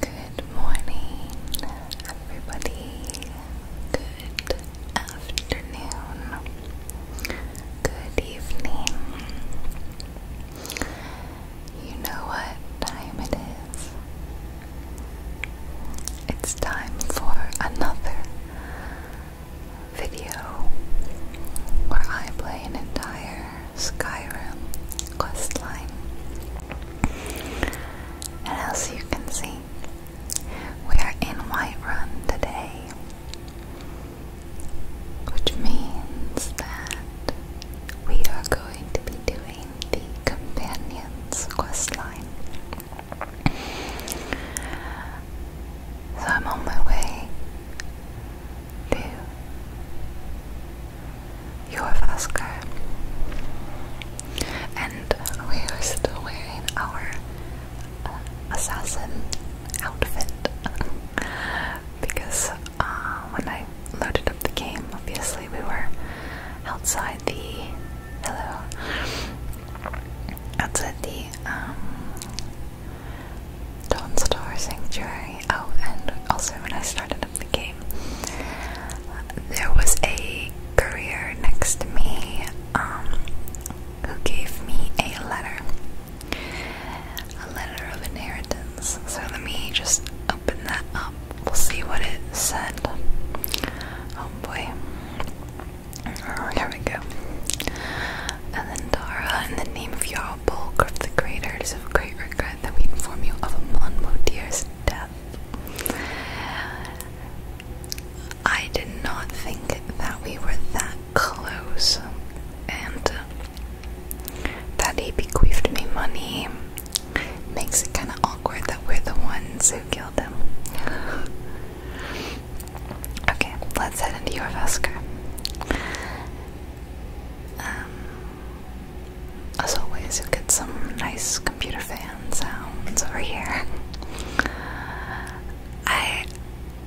Good morning, everybody. Good afternoon. Good evening. You know what time it is. It's time for another video where I play an entire Skyrim questline. And as you can see, we are in Whiterun today, which means that we are going to be doing the Companions questline. So I'm on my way to Yorvascar. And we are still wearing our uh, assassin outfit because uh, when I loaded up the game, obviously we were outside the hello outside the um, Dawn Star Sanctuary. Oh, and also when I started up the game, there was a courier next to me um, who gave me a letter. A letter of inheritance. So let me just open that up. We'll see what it said. Oh boy. here we go and in the name of Jarl Bulk of the Greater, it is of great regret that we inform you of a Monmo Deer's death. I did not think that we were that close, and uh, that he bequeathed me money makes it kind of awkward that we're the ones who killed him. Okay, let's head into your Vesker. Um, as always, you'll get some nice computer fan sounds over here. I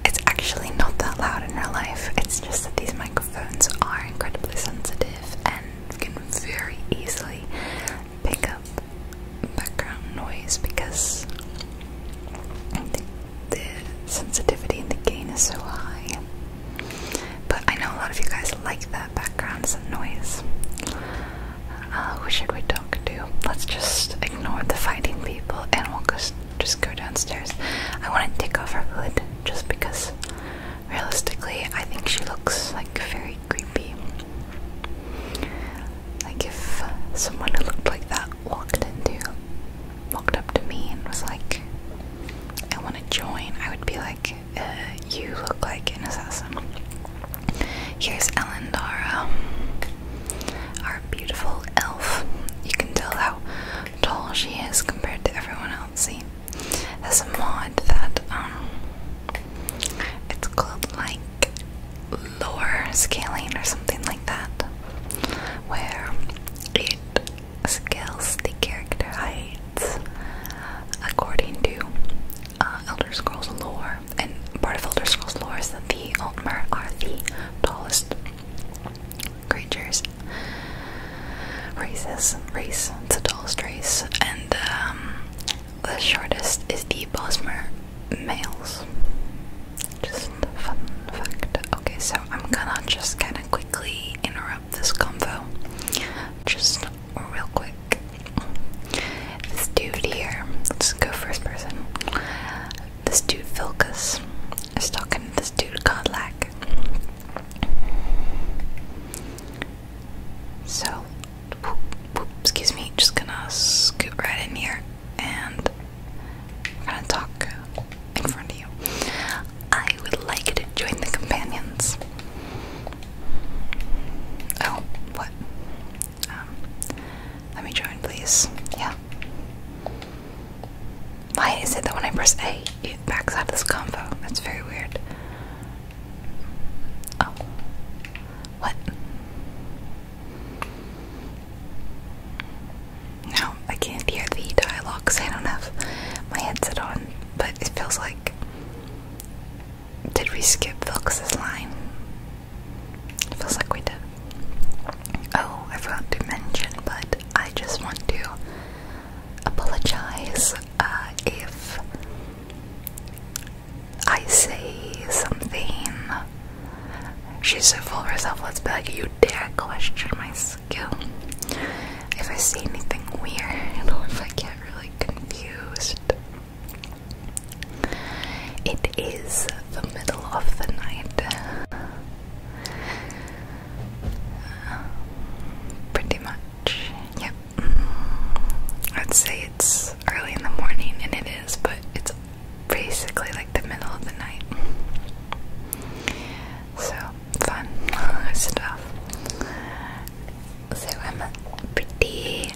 it's actually not that loud in real life. It's just that these microphones are incredibly sensitive and can very easily pick up background noise because the sensitivity and the gain is so high. But I know a lot of you guys like that background noise. Uh, who should we talk to? Let's just ignore the fighting people and we'll just, just go downstairs. I want to take off her hood just because, realistically, I think she looks like very creepy. Like if someone who looked like that walked into walked up to me and was like, I want to join, I would be like, uh, you look like an assassin. Here's Elendara, um, our beautiful elf. You can tell how tall she is compared to everyone else. See, has a mod that, um, it's called like lower scaling or something like that, where it skills the character heights, according to uh, Elder Scrolls lore. And part of Elder Scrolls lore is that the Altmer are the tallest creatures, races, race, it's the tallest race, and um, the shortest is the Bosmer males. Fun, fact. Okay, so I'm gonna just kind of quickly interrupt this convo. Just real quick. This dude here, let's go first person. This dude, Philcus, is talking to this dude, Godlack. So, excuse me, just gonna scoot right in here and we're talk in front of you. I would like to join the companions. Oh, what? Um, let me join, please. Yeah. Why is it that when I press A, it backs out of this combo? That's very weird. Oh. What? No, I can't hear the dialogue because I don't have my headset on, but it feels like. Did we skip Vilkes' line? feels like we did. Oh, I forgot to mention, but I just want to apologize uh, if I say something. She's so full of herself, let's be like, you dare question my if I see anything weird or if I get really confused. It is the middle of the night. Uh, pretty much, yep. I'd say it's early in the morning, and it is, but it's basically like the middle of the night. So, fun stuff. So I'm pretty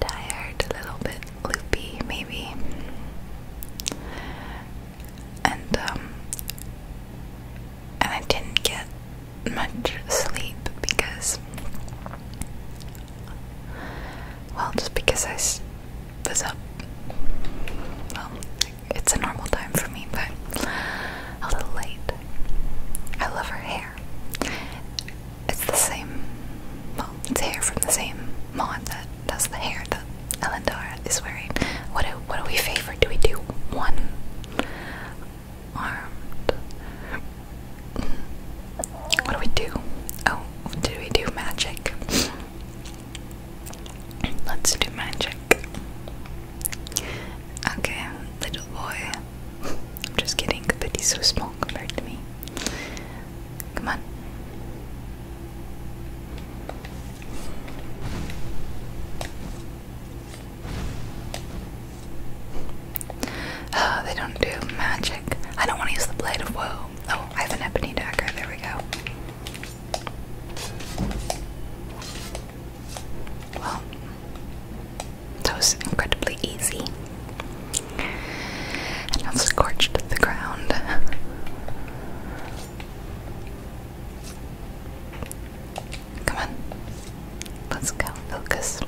tired, a little bit loopy, maybe. And um, and I didn't get much sleep because, well, just because I was up. It's a normal time for me, but a little late. I love her hair. It's the same, well, it's hair from the same mod that does the hair that Elendara is wearing. What do, what do we favor? Do we do one armed? What do we do? Oh, do we do magic? Let's do magic. Okay, little boy. I'm just kidding, but he's so small compared to me. Come on. Oh, they don't do magic. I don't want to use the blade of Oh, I have an ebony dagger. There we go. Well, that was incredibly easy. And I've scorched the ground. Come on. Let's go, focus.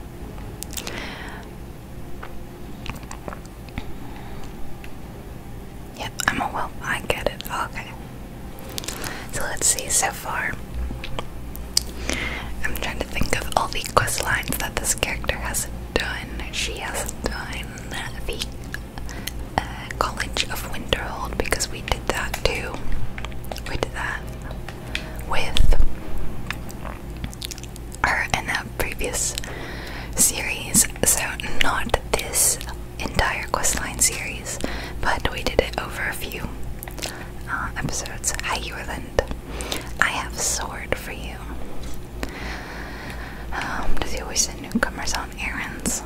Yep, i I get it. Okay. So let's see so far. I'm trying to think of all the quest lines that this character has done. She has done the uh, College of Winterhold because we did that too. We did that with her in a previous series, so not this entire questline series, but we did it over a few uh, episodes. Hi, Yorland. I have sword for you. Um, does he always send newcomers on errands?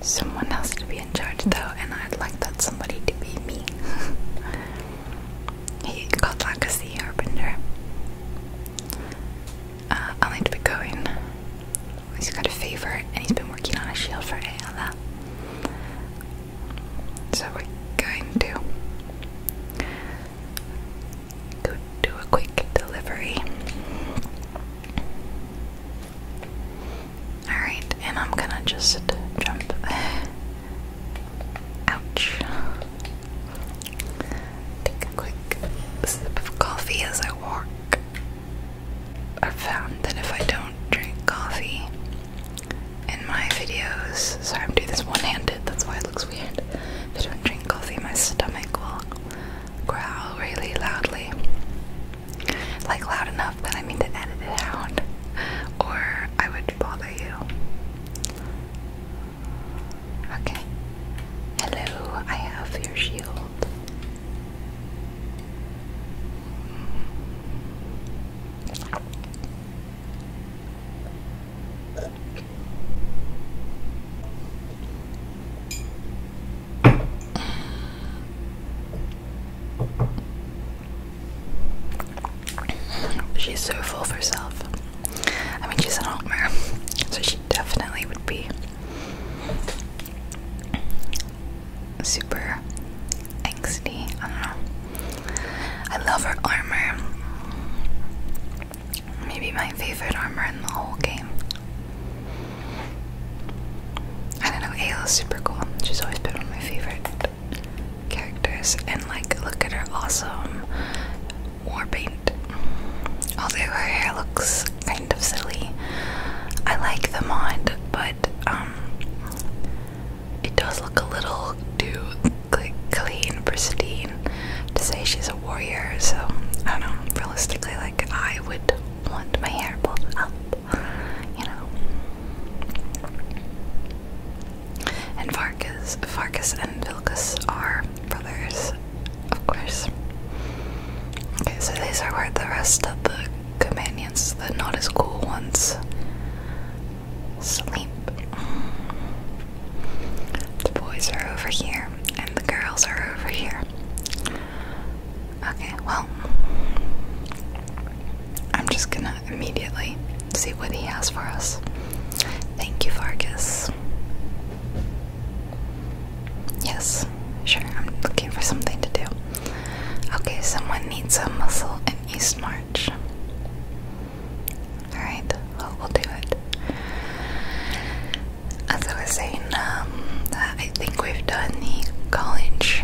Someone has to be in charge though, and I'd like that somebody to be me. hey, Godlock is the Harbinger. Uh, i need to be going. He's got a favor, and he's been working on a shield for ALL. So we're going to go do a quick delivery. Alright, and I'm gonna just jump. Ouch. Take a quick sip of coffee as I walk. I've found that if I don't drink coffee in my videos, sorry, I'm doing this one handed, that's why it looks weird. If I don't drink coffee, my stomach will growl really loudly. Like loud enough that I mean to edit it out, or I would bother you. Okay. Hello, I have your shield. She's so full of herself. I mean, she's an Altmer, so she definitely would be super angsty. I don't know. I love her armor. Maybe my favorite armor in the whole game. I don't know, is super cool. She's always been one of my favorite characters. And, like, look at her awesome war paint. Although her hair looks kind of silly. I like the mod, but um it does look a little too like clean, pristine to say she's a warrior, so I don't know, realistically like I would want my hair pulled out. you know. And Farkas Farkas and Vilcus are brothers of course. Okay, so these are where the rest of the companions, the not as cool ones, sleep. The boys are over here, and the girls are over here. Okay, well, I'm just gonna immediately see what he has for us. Thank you, Vargas. Yes, sure, I'm looking for something to do. Okay, someone needs a muscle in East March. Alright, we'll do it. As I was saying, um, I think we've done the college,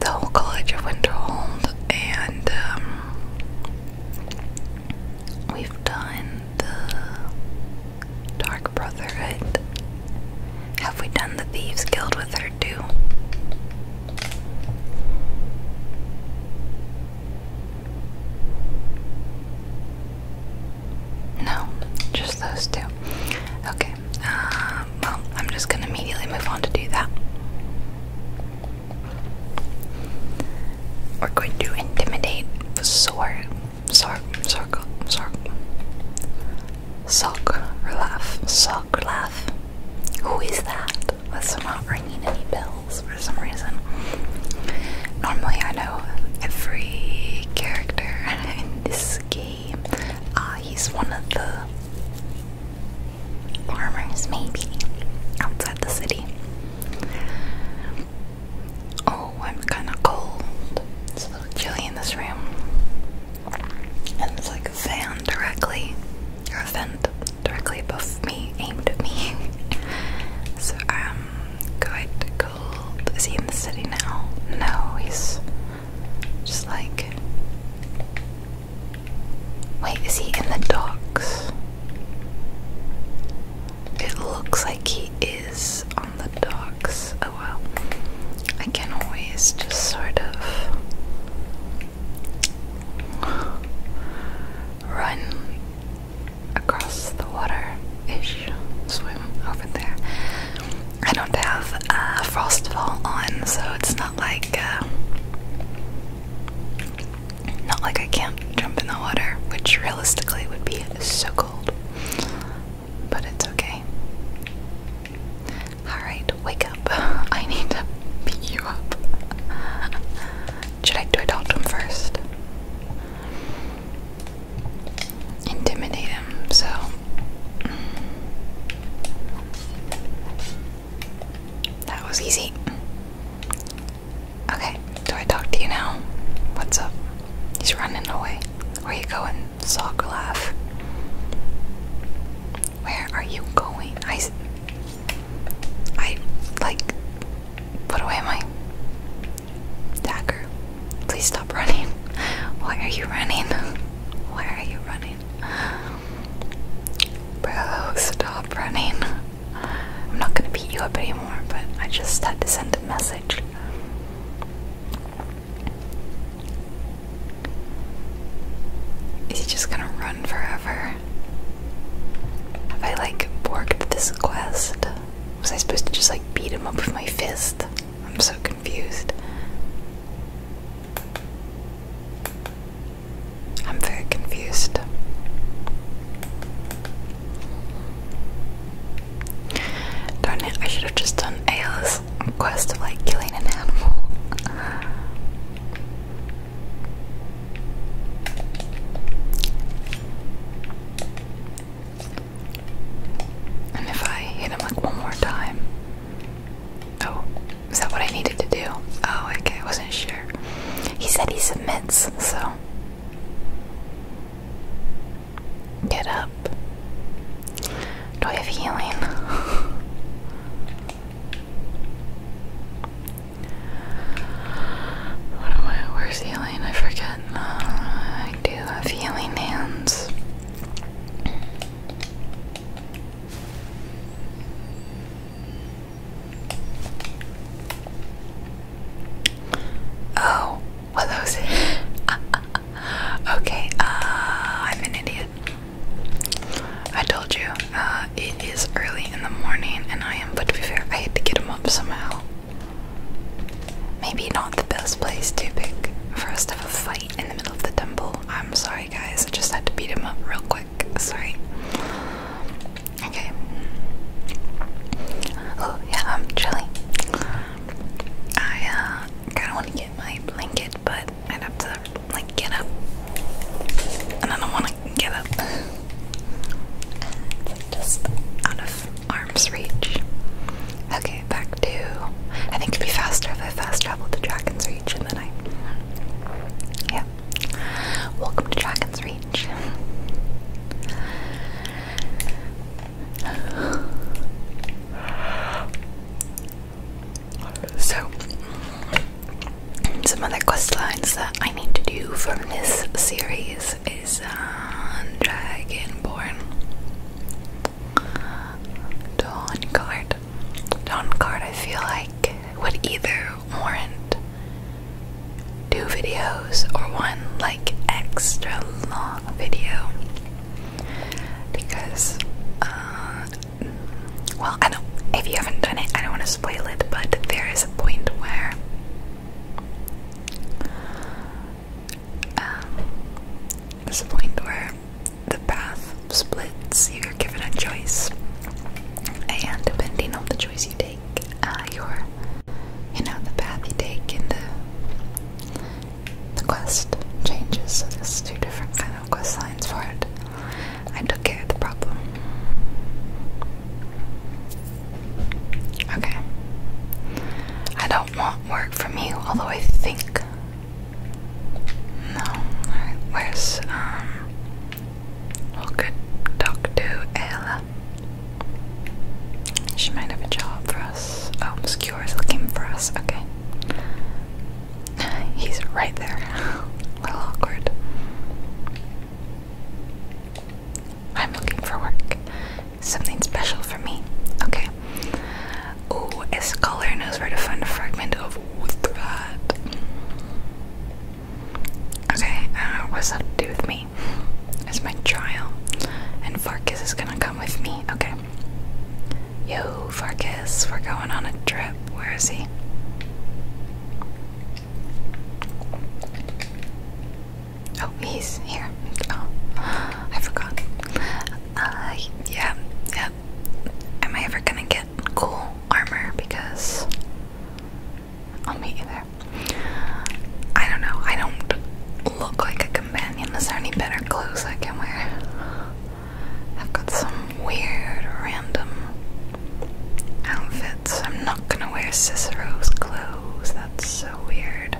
the whole College of Winterhold, and um, we've done the Dark Brotherhood. Have we done the Thieves Guild with her too? No, just those two. Okay, uh, well, I'm just gonna immediately move on to do that. We're going to intimidate the sock, sock, sock, sock, laugh, sock, laugh. Who is that? That's not ringing any bells for some reason. Normally, I know every character in this game. Ah, uh, he's one of the farmers, maybe outside the city. Oh, I'm kind of cold. It's a little chilly in this room. And it's like a fan directly, or a vent directly above me, aimed at me. so I'm um, quite cold. Is he in the city now? No, he's just like. Wait, is he in the docks? It looks like he is on the docks. Oh well. I can always just sort of run across the water ish, swim over there. I don't have uh, Frostfall on, so it's not like. Uh, not like I can't jump in the water, which realistically would be so cool but it's okay. Alright, wake up. I need to beat you up. Should I do adult him first? Intimidate him, so. That was easy. Okay, do I talk to you now? What's up? He's running away. Where are you going? Sock laugh. Where are you going? I. I. Like. What away am I? Dagger. Please stop running. Why are you running? Why are you running? Bro, stop running. I'm not gonna beat you up anymore, but I just had to send a message. Is he just gonna run forever? Have I like borked this quest? Was I supposed to just like beat him up with my fist? I'm so confused. I'm very confused. Darn it, I should have just done Ayla's quest of like killing an animal. And if I hit him like one more time. Oh, is that what I needed to do? Oh, okay, I wasn't sure. He said he submits, so. Get up. Do I have healing? what am I? Where's healing? I forget. Uh, I do have healing hands. Oh, what those? okay, uh, I'm an idiot. I told you, uh, it is early in the morning, and I am, but to be fair, I had to get him up somehow. Maybe not the best place to pick for us to have a fight in the middle of the temple. I'm sorry, guys, I just had to beat him up real quick. Sorry. Okay yeah, I'm chilly. I uh, kind of want to get my blanket, but i have to like get up, and I don't want to get up. It's just out of arm's reach. Okay, back to. I think it'd be faster if I fast traveled to Dragon's Reach and then I. Yeah. Welcome to Dragon's Reach. So, some other quest lines that I need to do from this series is uh, Dragonborn, Dawn Guard. I feel like, would either warrant two videos or one like extra long video because uh, well I don't if you haven't done it I don't want to spoil it but there is a point where um, there's a point where the path splits you're given a choice and depending on the choice you take uh, your you know the path you take and the the quest changes. So there's two different kind of quest lines for it. I took care the problem. Okay. I don't want work from you, although I think. No. where's um we could talk to Ayla. She might have a job for us. Oh, Skewer's looking for us. Okay. He's right there. a little awkward. I'm looking for work. Something special for me. Okay. Oh, a scholar knows where to find a fragment of wood. Okay, I uh, what's that to do with me. It's my trial. And Farkas is gonna come with me. Okay. Yo, Farkas, we're going on a trip. Where is he? Oh, he's here. Oh, I forgot. Uh, yeah, yeah. Am I ever gonna get cool armor? Because. On me either. I don't know. I don't look like a companion. Is there any better clothes I can wear? I've got some weird, random outfits. I'm not gonna wear Cicero's clothes. That's so weird.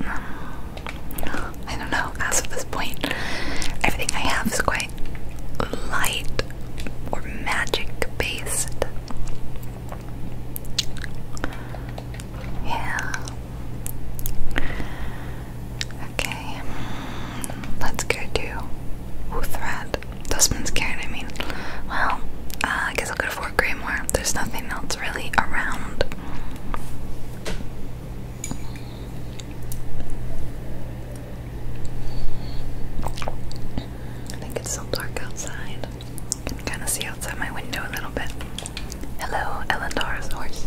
Um, I don't know. As of this point, everything I have is quite light or magic based. Yeah. Okay. Let's go to Uthrat. This one's scared, I mean. Well, uh, I guess I'll go to Fort Greymore. There's nothing else really around. I think it's still dark outside can kind of see outside my window a little bit. Hello, Elendar's horse.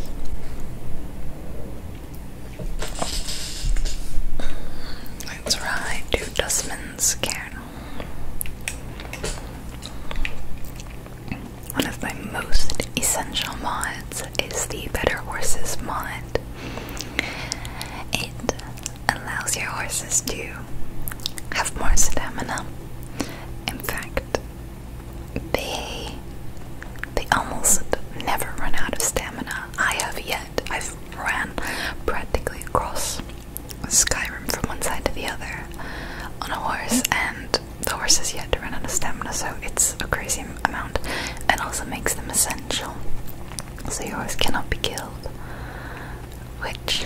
Let's ride to Dustman's Cairn. One of my most essential mods is the Better Horses mod. It allows your horses to have more stamina. In fact, they they almost never run out of stamina. I have yet. I've ran practically across Skyrim from one side to the other on a horse and the horse has yet to run out of stamina, so it's a crazy amount. It also makes them essential. So your horse cannot be killed. Which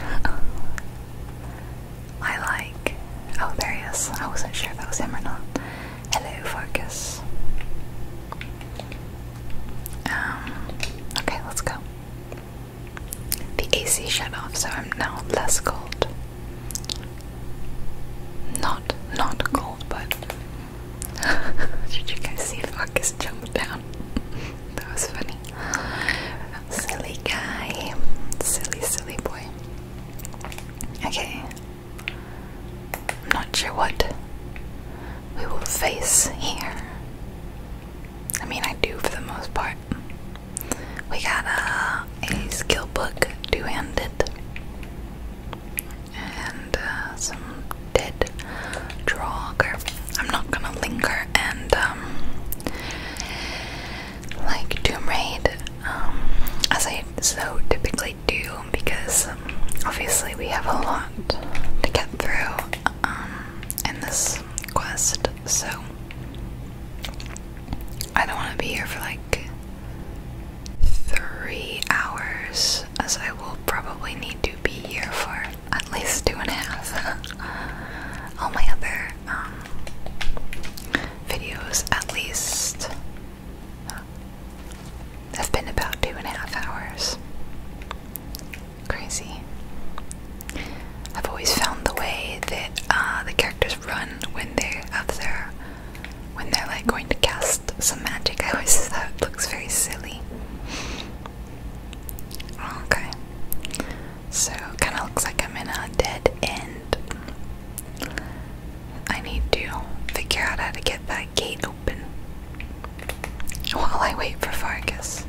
I like. Oh, there he is. I wasn't sure if that was him or not. Hello, Focus. Um, okay, let's go. The AC shut off, so I'm now less cold. Not, not cold, but. Did you guys see Focus jump down? that was funny. Silly guy. Silly, silly boy. Okay. I'm not sure what we will face here. I mean, I do for the most part. We got uh, a skill book, two handed, and uh, some dead draw I'm not gonna linger and um, like Doom Raid, um, as I so typically do, because um, obviously we have a lot to get through in this quest, so I don't want to be here for like three hours, as I will probably need to be here for at least two and a half. All my other um, videos at least uh, have been about two and a half hours. Crazy. I've always found the way that uh, the characters run when they are out there, when they're like going to cast some magic. I always thought it looks very silly. Okay. So kind of looks like I'm in a dead end. I need to figure out how to get that gate open while I wait for Fargus.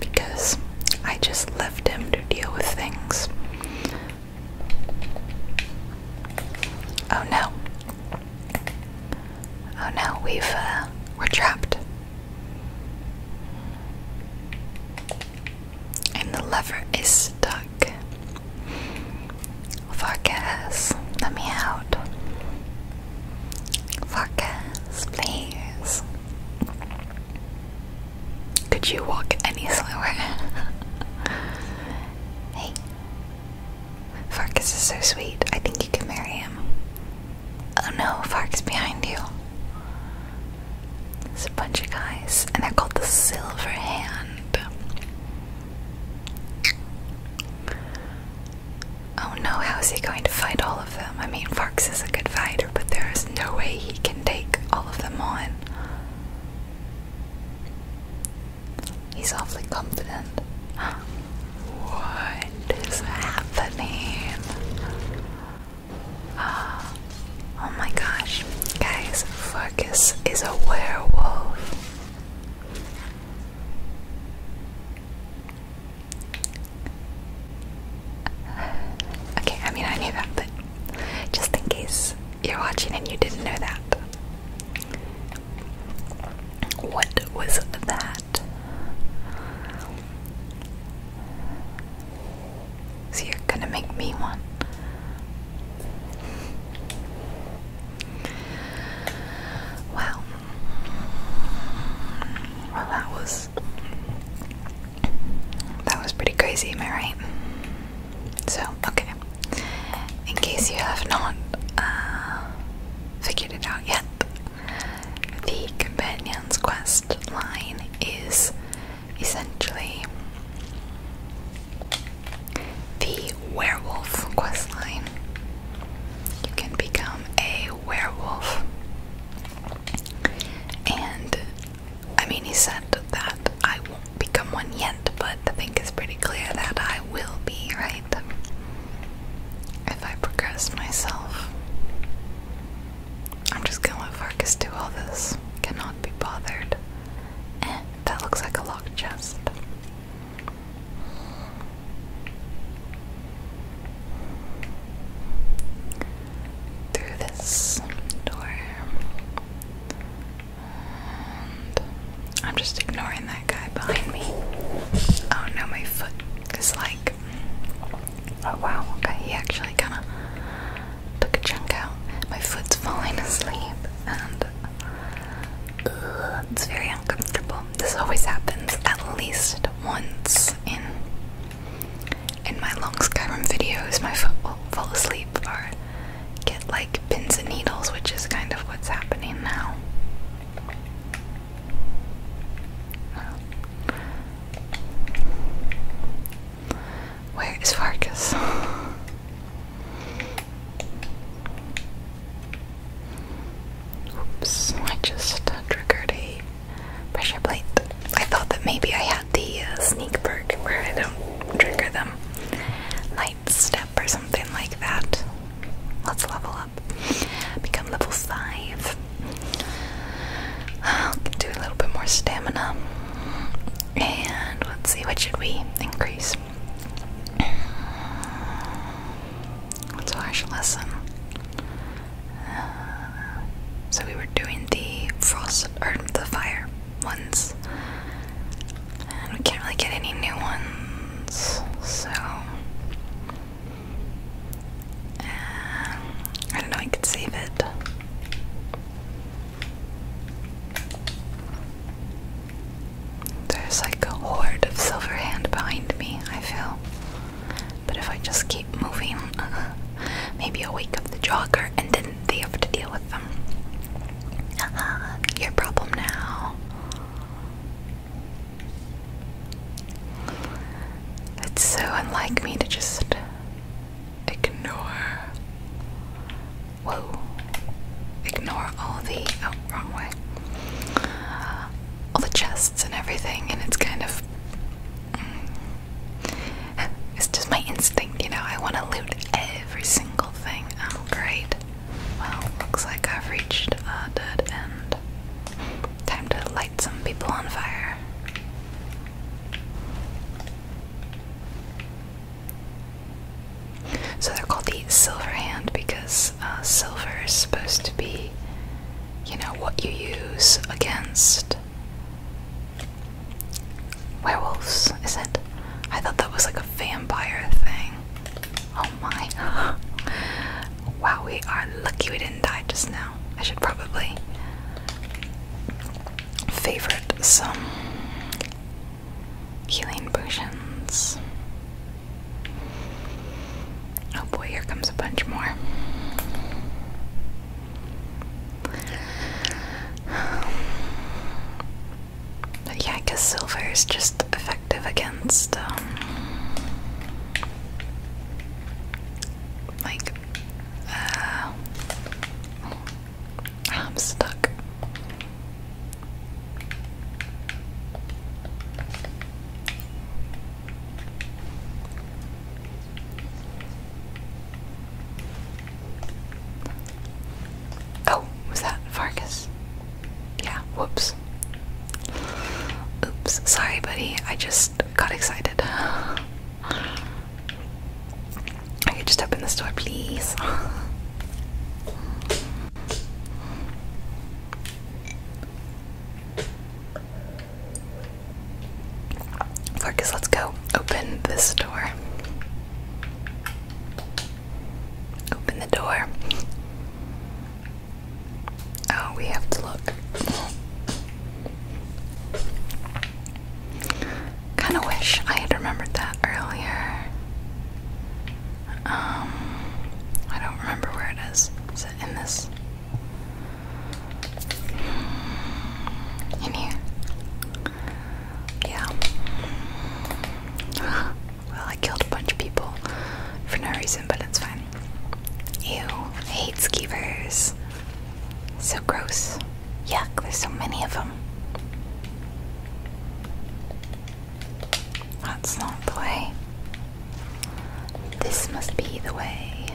Because I just left him to deal with things. Oh no. Oh no, we've uh, we're trapped. And the lever is stuck. Farkas, let me out. Farkas, please. Could you walk any slower? hey. Farkas is so sweet. I think you can marry him. Oh no, is behind you. There's a bunch of guys, and they're called the Silver Hand. Oh no, how is he going to fight all of them? I mean, Farks is a good fighter, but there is no way he can take all of them on. He's awfully confident. What is happening? Ah, oh my gosh, guys, Focus is a werewolf. Okay, I mean, I knew that, but just in case you're watching and you didn't know that. What was that? So you're gonna make me one. Well, well, that was that was pretty crazy, am I right? So, okay. In case you have not uh, figured it out yet, the companion's quest last line is essentially the werewolf quest line. You can become a werewolf. And I mean, he said that I won't become one yet, but I think it's pretty clear that I will be, right? If I progress myself. I'm just gonna let Farkas do all this. Cannot be bothered. Eh, that looks like a locked chest. Through this door. I'm just ignoring that guy behind me. Oh no, my foot is like Oh wow, okay, he actually kinda took a chunk out. My foot's falling asleep and it's very uncomfortable. This always happens at least once in in my long Skyrim videos. My foot will fall asleep or get like pins and needles, which is kind of what's happening now. Where is Vargas? Oops, I just triggered a pressure plate. I thought that maybe I had the uh, sneak perk where I don't trigger them. Light step or something like that. Let's level up. Become level 5. I'll do a little bit more stamina. And let's see, what should we increase? What's harsh lesson? Uh, so we were doing the frost or the fire ones, and we can't really get any new ones. So um, I don't know, I could save it. There's like a horde of silver hand behind me, I feel. But if I just keep moving, maybe i wake up the jogger and then they have to deal with them. Uh -huh, your problem now. It's so unlike me to just ignore. Whoa. Ignore all the. Oh, wrong way. all the chests and everything, and it's kind of. Mm. it's just my instinct, you know? I want to loot every single thing. Oh, great. Well, looks like I've reached a dead end. Time to light some people on fire. So they're called the silver hand because uh, silver is supposed to be, you know, what you use against werewolves, is it? I thought that was like a vampire thing. Oh my. wow, we are lucky we didn't die just now. I should probably favorite some healing potions. Oh boy, here comes a bunch more. yeah, I guess silver is just effective against um, like uh, I'm stuck. Oh, was that Vargas? Yeah, whoops. Oops, sorry, buddy. I just just got excited. Okay, just open this door, please. Focus. let's go open this door. Open the door. Oh, we have to look. Kinda wish I had remembered that earlier. Um, I don't remember where it is. Is it in this? In here? Yeah. well, I killed a bunch of people for no reason, but it's fine. You I hate skeevers. So gross. Yuck, there's so many of them. That's not the way. This must be the way.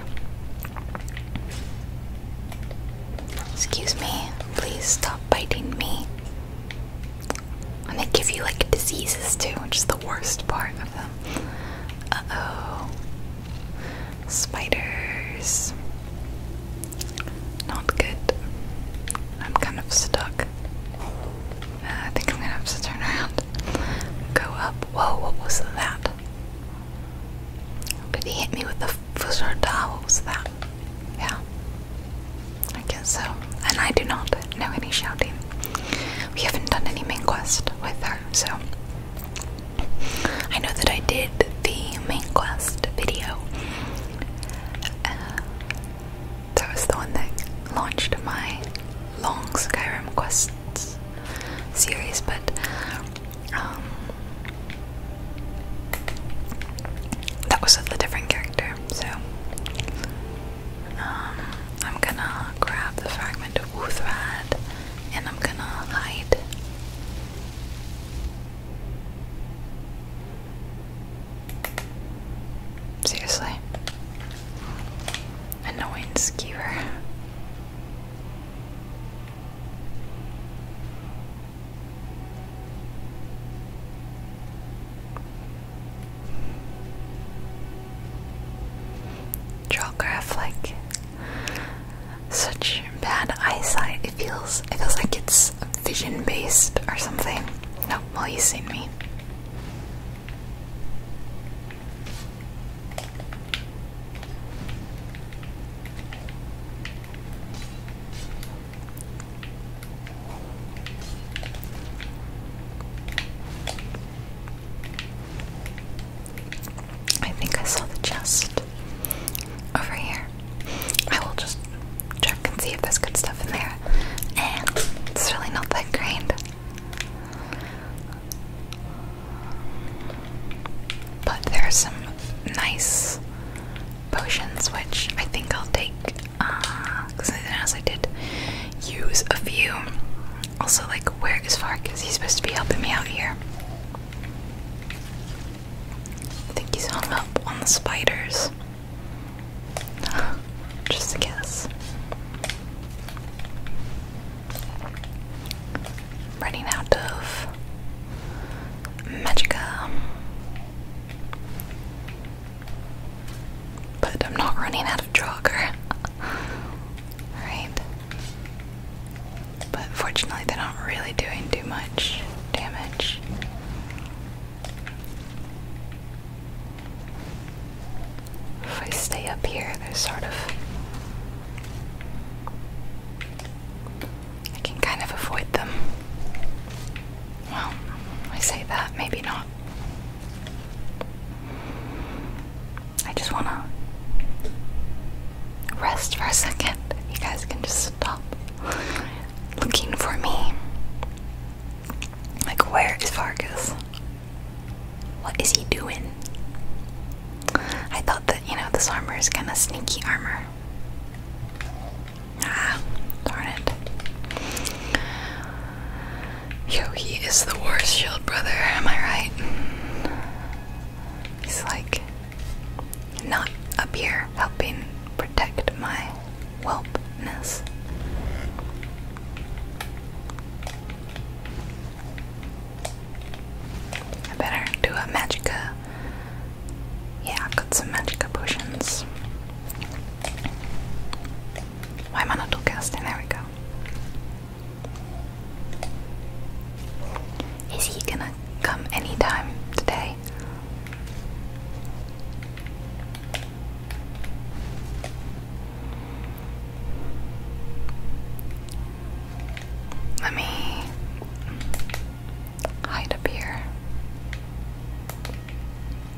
Excuse me, please stop biting me. And they give you like diseases too, which is the worst part of them. Uh oh. Spiders. Not good. I'm kind of stuck. Uh, I think I'm gonna have to turn around. Go up. Whoa, what was that? Did he hit me with the fusarda? What was that? Yeah. I guess so. And I do not know any shouting. We haven't done any main quest with her, so I know that I did the main quest video. Uh, that was the one that launched my long Skyrim quests series, but um, that was with a different character. So um, I'm gonna grab the fragment of Uthrad and I'm gonna hide Seriously. Annoying skewer. Draw graph like such bad eyesight. It feels it feels like it's vision based or something. No, well you've seen me. I think I saw the chest over here. I will just check and see if there's good stuff in there. And it's really not that great. But there are some nice potions which I think I'll take because uh, as I did use a few. Also, like, where is Fark? Is he supposed to be helping me out here? I think he's hung up on the spiders. Just a guess. Running out of Magicka. But I'm not running out of Draugr. Alright. But fortunately, they're not really doing too much damage. If I stay up here, they're sort of. I can kind of avoid them. Well, I say that, maybe not. I just wanna rest for a second. You guys can just stop looking for me. Like, where is Vargas? What is he doing? I thought that, you know, this armor is kind of sneaky armor. Ah, darn it. Yo, he is the worst shield brother, am I right? He's like not up here helping protect my wellness. I better do a magicka. Yeah, I've got some magicka potions. Why am I not dual casting? There we go. Is he gonna Come anytime today. Let me hide up here.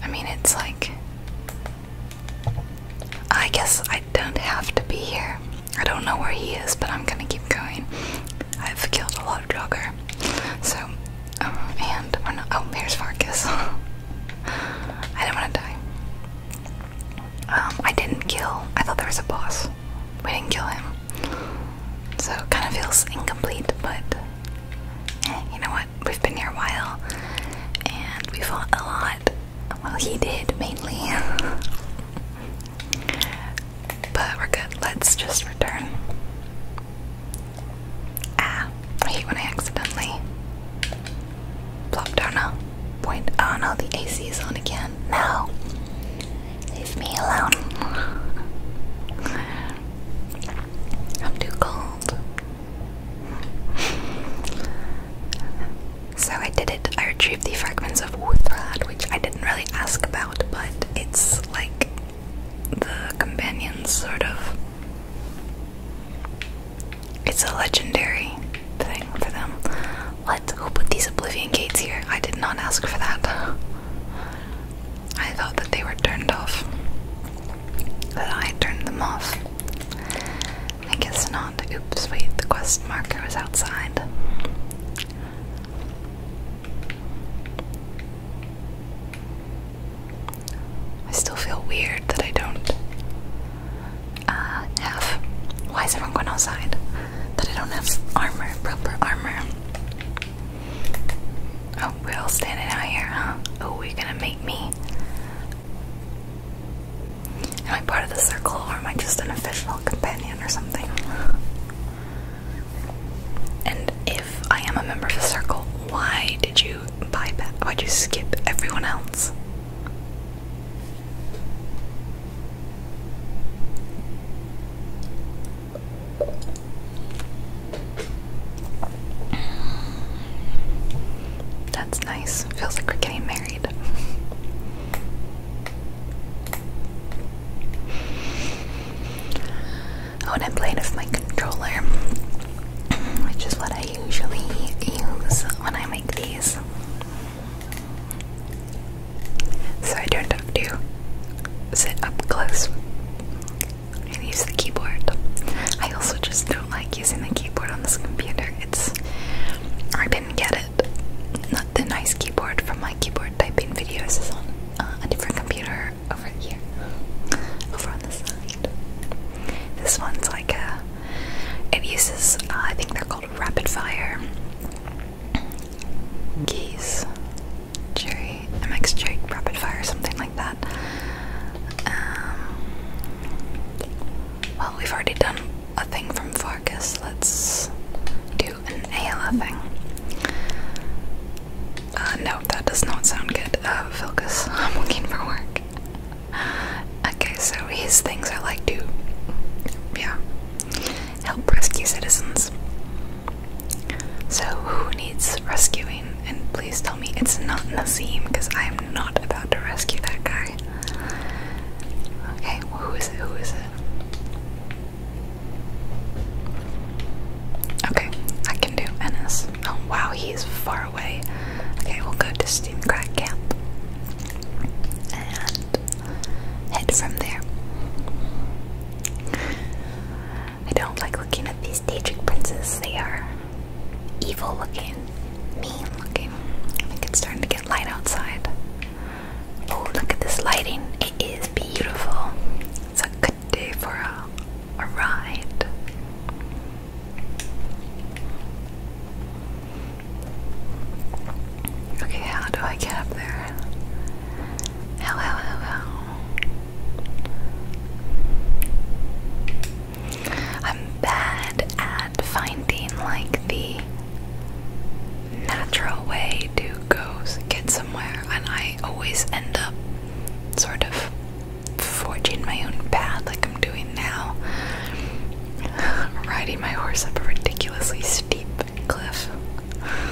I mean, it's like. I guess I don't have to be here. I don't know where he is, but I'm gonna keep going. I've killed a lot of Jogger. So, um, and Oh, oh here's Farkas. I didn't want to die. Um, I didn't kill. I thought there was a boss. We didn't kill him. So it kind of feels incomplete, but eh, you know what? We've been here a while and we fought a lot. Well, he did mainly. But we're good. Let's just return. Ah, I hate when I accidentally plop down a point. Oh no, the AC is on again. No. Leave me alone. I'm too cold. So I did it. I retrieved the fragments of Wuthrad, which I didn't really ask about but it's like the companions sort of. It's a legendary thing for them. What? Who put these oblivion gates here? I did not ask for that. I thought that they were turned off. That I turned them off. I guess not. Oops, wait, the quest marker was outside. I still feel weird that I don't uh, have. Why is everyone going outside? That I don't have armor, proper armor. Oh, we're all standing out here, huh? Oh, we're gonna make me. Am I part of the circle or am I just an official companion or something? And if I am a member of the circle, why did you bypass? Why'd you skip everyone else? That's nice. Feels like we're getting married. I'm playing with my controller, which is what I usually use when I make these. So I don't have to sit up close and use the keyboard. I also just don't like using the keyboard on this computer. It's I didn't get it. Not the nice keyboard from my keyboard typing videos is on. Uh, a different computer over here, over on the side. This one's like a. It uses, uh, I think they're called rapid fire keys. Cherry, MX Cherry rapid fire, something like that. Um, well, we've already done a thing from Farkas. Let's do an ALF thing. Uh, no, that does not sound good. Uh, I'm looking for work. Okay, so his things are like to, yeah, help rescue citizens. So who needs rescuing? And please tell me it's not Nazim, because I am not about to rescue that guy. Okay, who is it? Who is it? Okay, I can do Ennis. Oh wow, he's far away. Okay, we'll go to Steamcrack Camp and head from there. I don't like looking at these Daedric princes. They are evil looking, mean looking. I think it's starting to get light outside. Oh, look at this lighting. It is beautiful. It's a good day for a, a ride. Okay, how do I get up there? How, how, how, I'm bad at finding like the natural way to goes, get somewhere, and I always end up sort of forging my own path like I'm doing now. Riding my horse up a ridiculously steep cliff.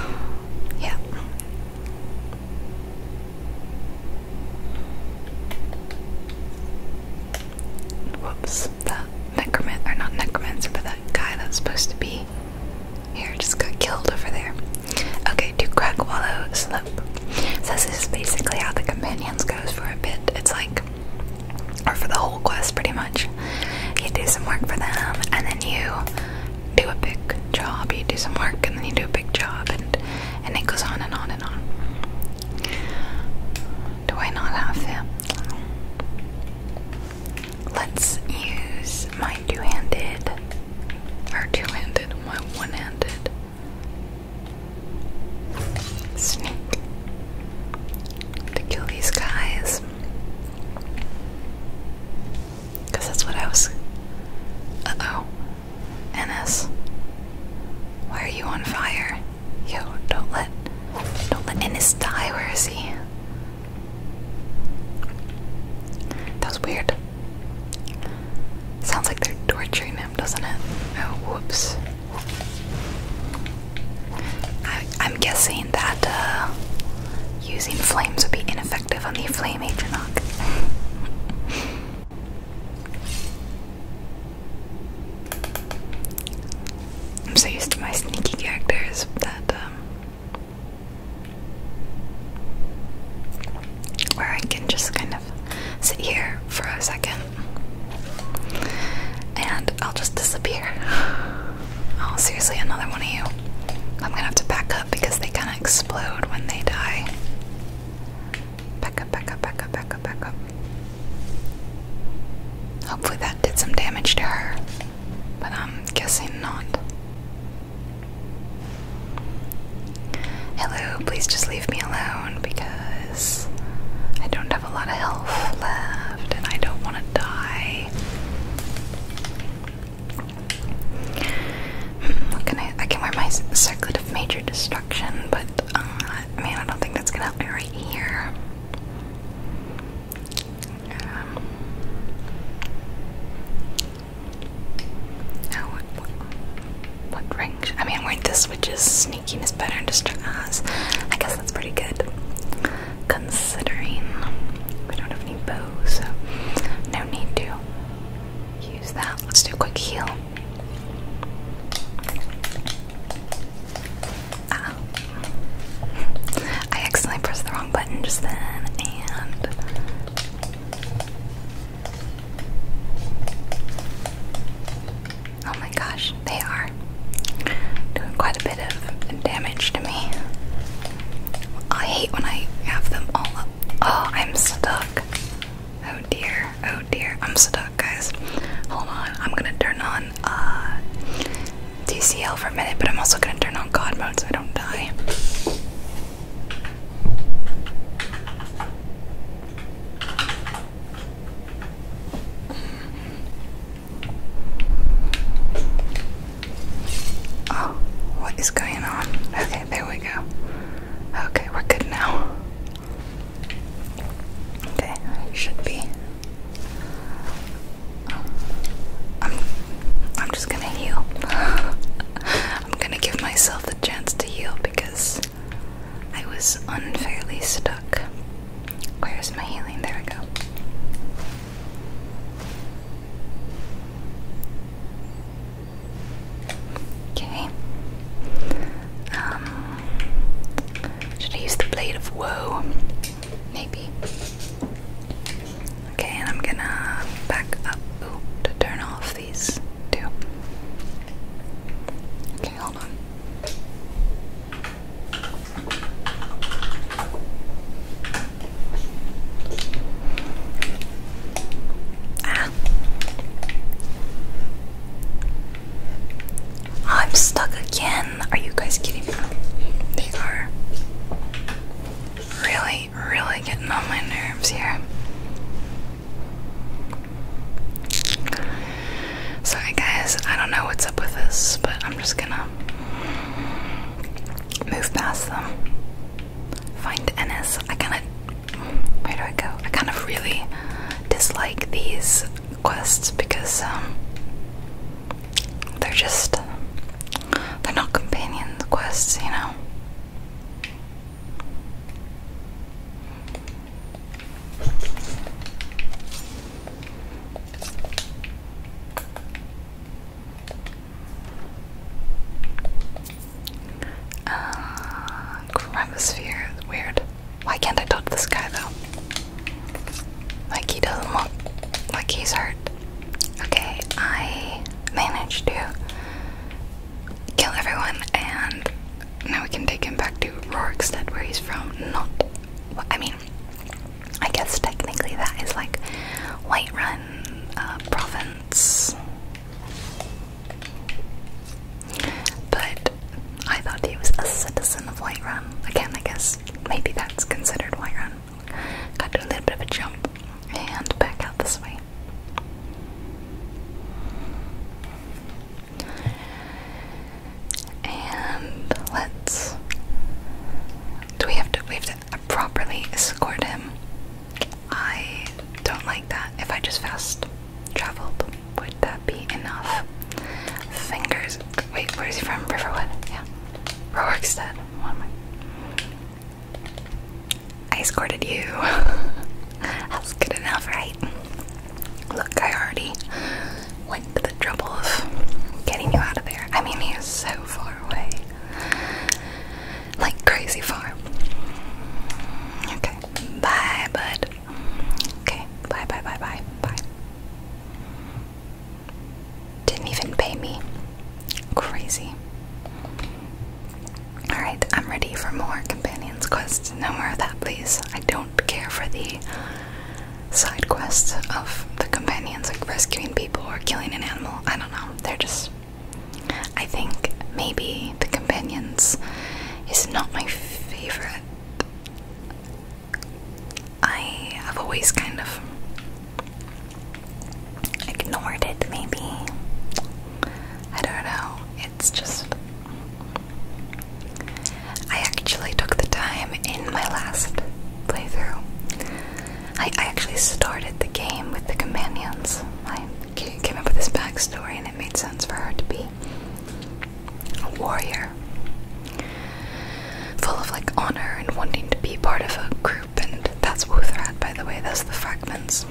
Yeah. Whoops, that necromancer, or not necromancer, that guy that's supposed to be here just got killed over there. Okay, Do crack, wallow, slope. So this is basically how the companions goes for a bit. It's like, or for the whole quest pretty much. You do some work for them, and then you do a big job. You do some work, and then you do a big job, and and it goes on and on and on. Do I not have him? Let's use my two-handed, or two-handed, my one-handed snake to kill these guys. Because that's what I was. Uh oh. Ennis. Why are you on fire? Yo, don't let don't let Ennis die, where is he? That was weird. Sounds like they're torturing him, doesn't it? Oh, whoops. I, am guessing that uh, using flames would be ineffective on the flame agent. I'm so used to my sneaky characters that um, where I can just kind of sit here for a second and I'll just disappear. Oh, seriously, another one of you. I'm gonna have to back up because they kind of explode when they die. Back up, back up, back up, back up, back up. Hopefully that did some damage to her, but I'm guessing not. Hello, please just leave me alone because I don't have a lot of health left and I don't want to die. Hmm, I, can wear my circlet of major destruction, but uh, man, I don't think that's gonna happen right here. Um, Oh, what, ring? I mean, weren't the switches sneakiness better and just us? I guess that's pretty good, considering we don't have any bows, so no need to use that. Let's do a quick heal. Ah. I accidentally pressed the wrong button just then, and Oh my gosh, they are doing quite a bit of damage to me. I hate when I have them all up. Oh, I'm stuck. Oh dear, oh dear, I'm stuck, guys. Hold on, I'm gonna turn on uh, DCL for a minute, but I'm also gonna turn on God mode so I don't die. Oh, what is going on? Okay, there we go. Okay, we're good now. Okay, should be. Um, I'm, I'm just gonna heal. I'm gonna give myself the chance to heal because I was unfairly stuck. Where's my healing? There we go. Okay. Um, should I use the blade of woe? Maybe. Okay, and I'm gonna back up to turn off these two. Okay, hold on. Ah. I'm stuck again. Are you guys kidding me? They are. Really? really, getting on my nerves here. Sorry, guys, I don't know what's up with this, but I'm just gonna move past them. Find Ennis. I kind of. Where do I go? I kind of really dislike these quests because um, they're just. They're not companion quests, you know? Uh, weird. Why can't I talk to this guy though? Like he doesn't look like he's hurt. Okay, I managed to kill everyone, and now we can take him back to Rorikstead, where he's from. Not, I mean, I guess technically that is like Whiterun uh, province. But I thought he was a citizen of Whiterun. Again, I guess maybe that's considered Whiterun. Got to a little bit of a jump and back out this way. And let's. Do we have to? We have to properly escort him. I don't like that. If I just fast traveled, would that be enough? Fingers. Wait, where is he from? Riverwood. Yeah. Rorikstead. What am I? I escorted you. That's good enough, right? Look, I already went to the trouble of getting you out of there. I mean, he is so far away. Like, crazy far. Okay, bye, bud. Okay, bye, bye, bye, bye, bye. Didn't even pay me. Crazy. Alright, I'm ready for more companions quests. No more of that, please. I don't care for the side quests of the companions, like rescuing people or killing an animal. I don't know. They're just. I think maybe the companions is not my favorite. I have always kind of ignored it, maybe. I don't know. It's just. I actually took the time in my last playthrough. I, I actually started the game with the companions. I came up with this backstory and it made sense for her to be a warrior. Full of like honor and wanting to be part of a group group, and that's Wuthrad, by the way, that's the fragments.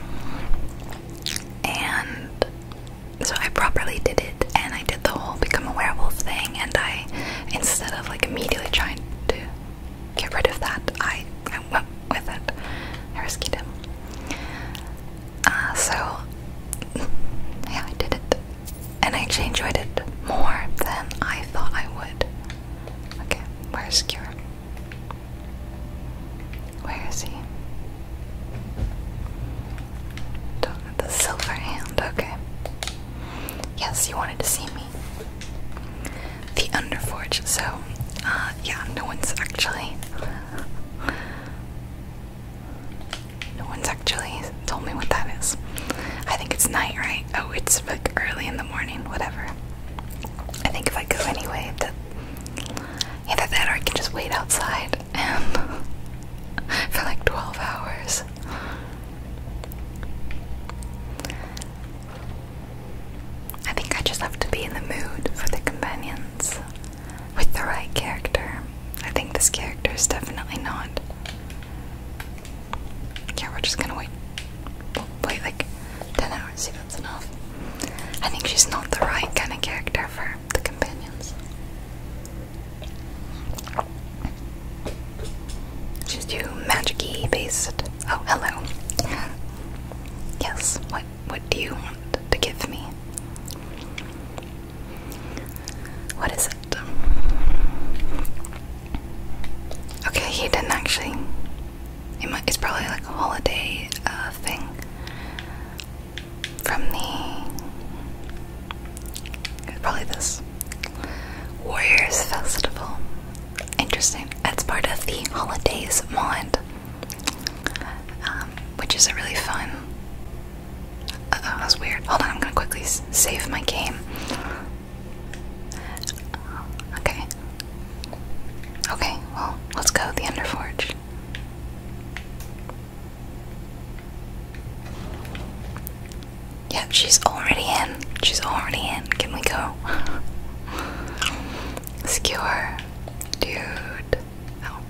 And so I properly did it, and I did the whole become a werewolf thing, and I, instead of like immediately trying to get rid of that, I, went with it. I rescued him. Uh, so, yeah, I did it. And I actually enjoyed it more than I thought I would. Okay, where's Cure? Where is he? the silver hand, okay. Yes, you wanted to see me. The Underforge, so uh, yeah, no one's actually no one's actually told me what that is. I think it's night, right? Oh, it's like early in the morning, whatever. I think if I go anyway, Either that or I can just wait outside for like 12 hours. I think I just have to be in the mood for the companions with the right character. I think this character is definitely not. Yeah, we're just gonna wait. wait like 10 hours, enough. I think she's not the right kind of character for the companions. She's too magic-y based. Oh, hello. Yes, what what do you want to give me? What is it? Okay, he didn't actually it's probably like a holiday uh, thing from the probably this Warriors Festival. Interesting. That's part of the Holidays mod, um, which is a really fun. Uh, oh, that was weird. Hold on, I'm gonna quickly save my game. Okay, Okay, well, let's go the Underforge. Yeah, she's already in. She's already in. Can we go? Skewer. Dude. Oh.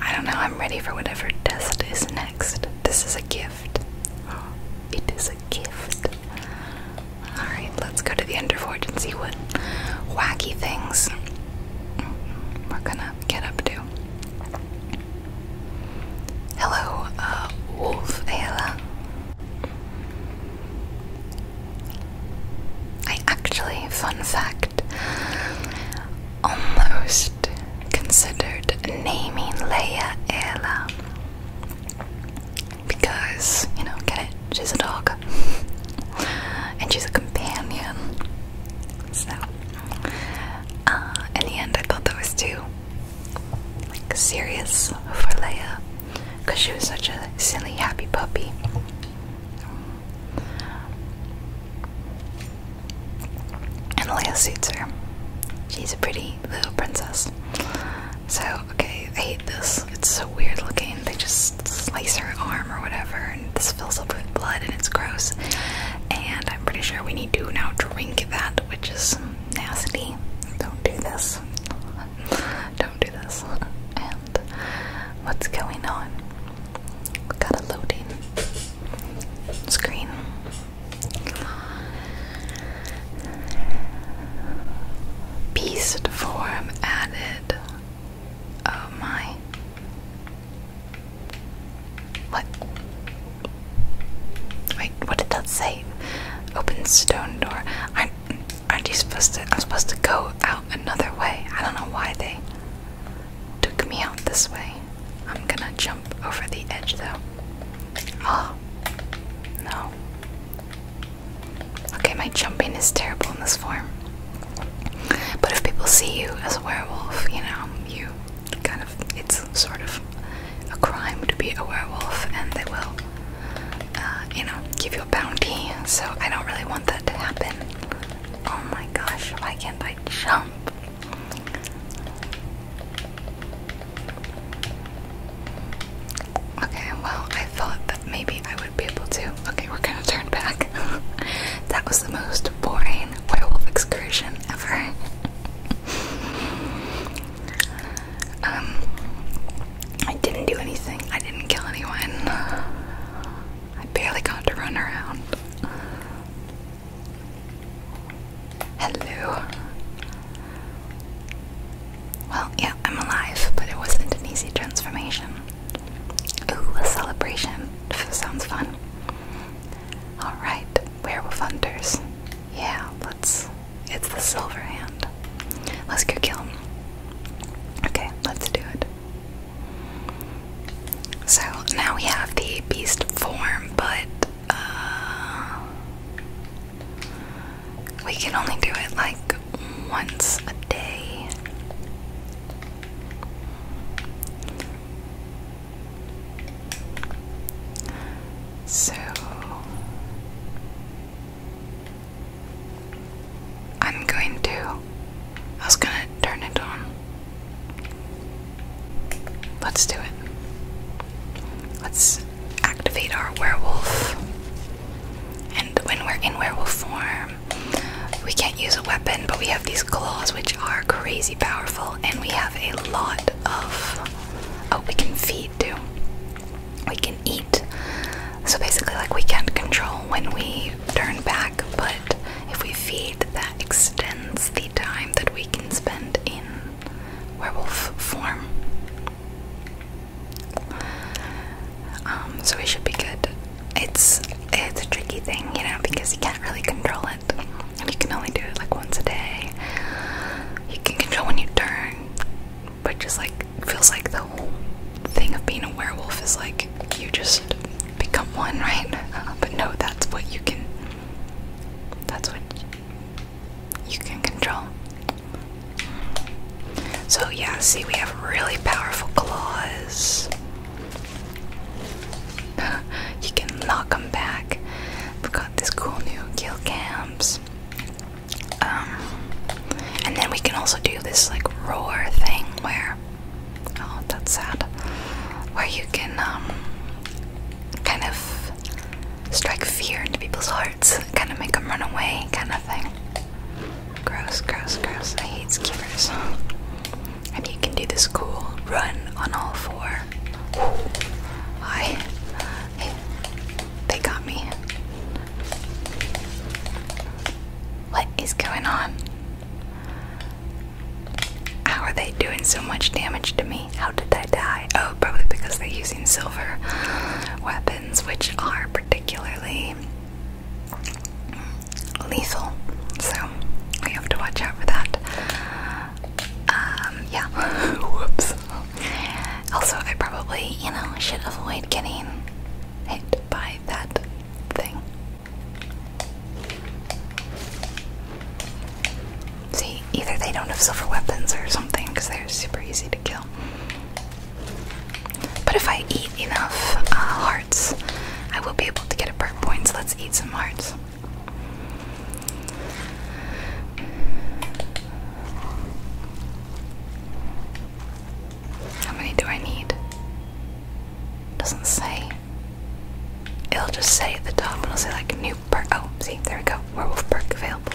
I don't know. I'm ready for whatever test is next. This is a gift. It is a gift. Alright, let's go to the Underforge and see what wacky things we're gonna get up to. Hello, uh, Wolf Ayla. I actually, fun fact, almost considered naming Leia Ayla because, you know, get it? She's a dog. and she's a companion. So, uh, in the end, I thought that was too, like, serious for Leia. Because she was such a silly, happy puppy. And Leia suits her. She's a pretty little princess. So, okay, I hate this. It's so weird looking. They just slice her arm or whatever, and this fills up with blood, and it's gross. And I'm pretty sure we need to now drink that, which is nasty. Don't do this. Don't do this. And what's going on? We got a loading screen. Beast form added. Oh my. What? Wait, what did that say? Open stone door. Aren't, aren't you supposed to? I'm supposed to go out another way. I don't know why they took me out this way. I'm gonna jump over the edge though. Oh, no. Okay, my jumping is terrible in this form. But if people see you as a werewolf, you know, you kind of, it's sort of a crime to be a werewolf, and they will, uh, you know, give you a bounty. So I don't really want that to happen. Oh my gosh, why can't I jump? Okay, well, I thought that maybe I would be able to. Okay, we're gonna turn back. that was the most boring werewolf excursion ever. um, I didn't do anything, I didn't kill anyone. I barely got to run around. Hello. Well, yeah, I'm alive, but it wasn't an easy transformation. Ooh, a celebration. Sounds fun. Alright, werewolf hunters. Yeah, let's. It's the silver hand. Let's go kill him. Okay, let's do it. So now we have the beast form, but. Uh, we can only do it like once a day. So I'm going to I was going to turn it on. Let's do it. Let's activate our werewolf and when we're in werewolf form, we can't use a weapon, but we have these claws which are crazy powerful, and we have a lot of. Oh, we can feed too. We can eat. So basically, like, we can't control when we turn back, but if we feed, that extends the time that we can spend in werewolf form. Um, so we should be good. It's it's a tricky thing, you know, because you can't really control it. You can only do it like once a day. You can control when you turn, but just like feels like the whole thing of being a werewolf is like you just become one, right? but no, that's what you can. That's what you can control, so, yeah, see, we have really powerful claws. you can knock them back. We've got this cool new kill cams. Um, and then we can also do this like roar thing where, oh, that's sad, where you can um, kind of strike fear into people's hearts, kind of make them run away, kind of thing. Gross, gross, gross. I hate skippers. And you can do this cool run on all four. Hi. they got me. What is going on? How are they doing so much damage to me? How did I die? Oh, probably because they're using silver weapons, which are particularly lethal, so we have to watch out for that. Um, yeah. Whoops. Also, I probably, you know, should avoid getting hit by that thing. See, either they don't have silver weapons or something because they're super easy to kill. But if I eat enough uh, hearts, I will be able to get a perk point. So let's eat some hearts. How many do I need? Doesn't say. It'll just say at the top, it'll say like new perk. Oh, see, there we go. Werewolf perk available.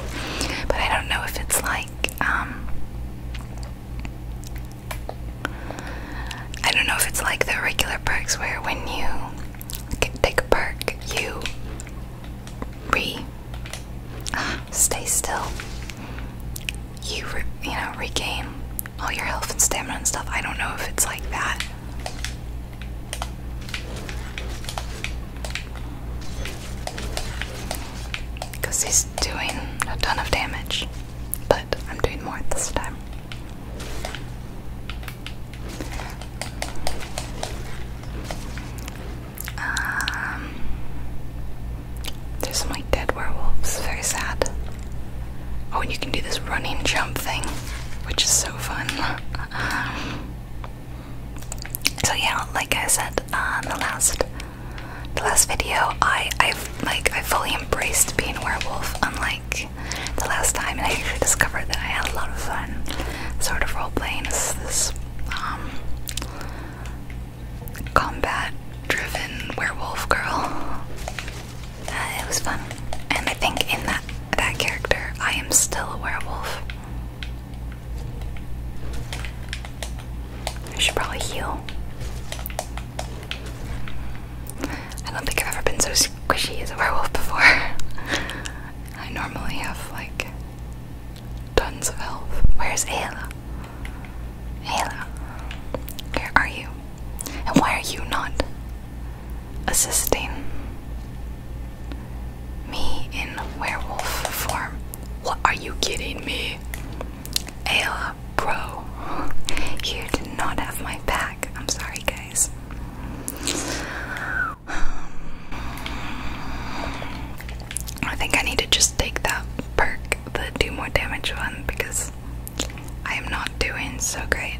But I don't know if it's like, um, I don't know if it's like the regular perks where when you take a perk, you re stay still. You you know regain all your health and stamina and stuff. I don't know if it's like that because he's doing a ton of damage, but I'm doing more this time. Um, there's some like dead werewolves, very sad. Oh, and you can do this running jump thing, which is so fun. so yeah, like I said on uh, the last the last video, I I've like I fully embraced being a werewolf, unlike the last time, and I actually discovered that I had a lot of fun, sort of role playing this, um, combat-driven werewolf girl. Uh, it was fun, and I think in that that character, I am still a werewolf. I should probably heal. I don't think I've ever been so squishy as a werewolf before. I normally have like tons of health. Where's Ayla? Ayla, where are you? And why are you not assisting me in werewolf form? What are you kidding me? Ayla, bro, you did not have my back. I'm sorry, guys. Um, I think I need to just take that perk, the do more damage one, because I am not doing so great.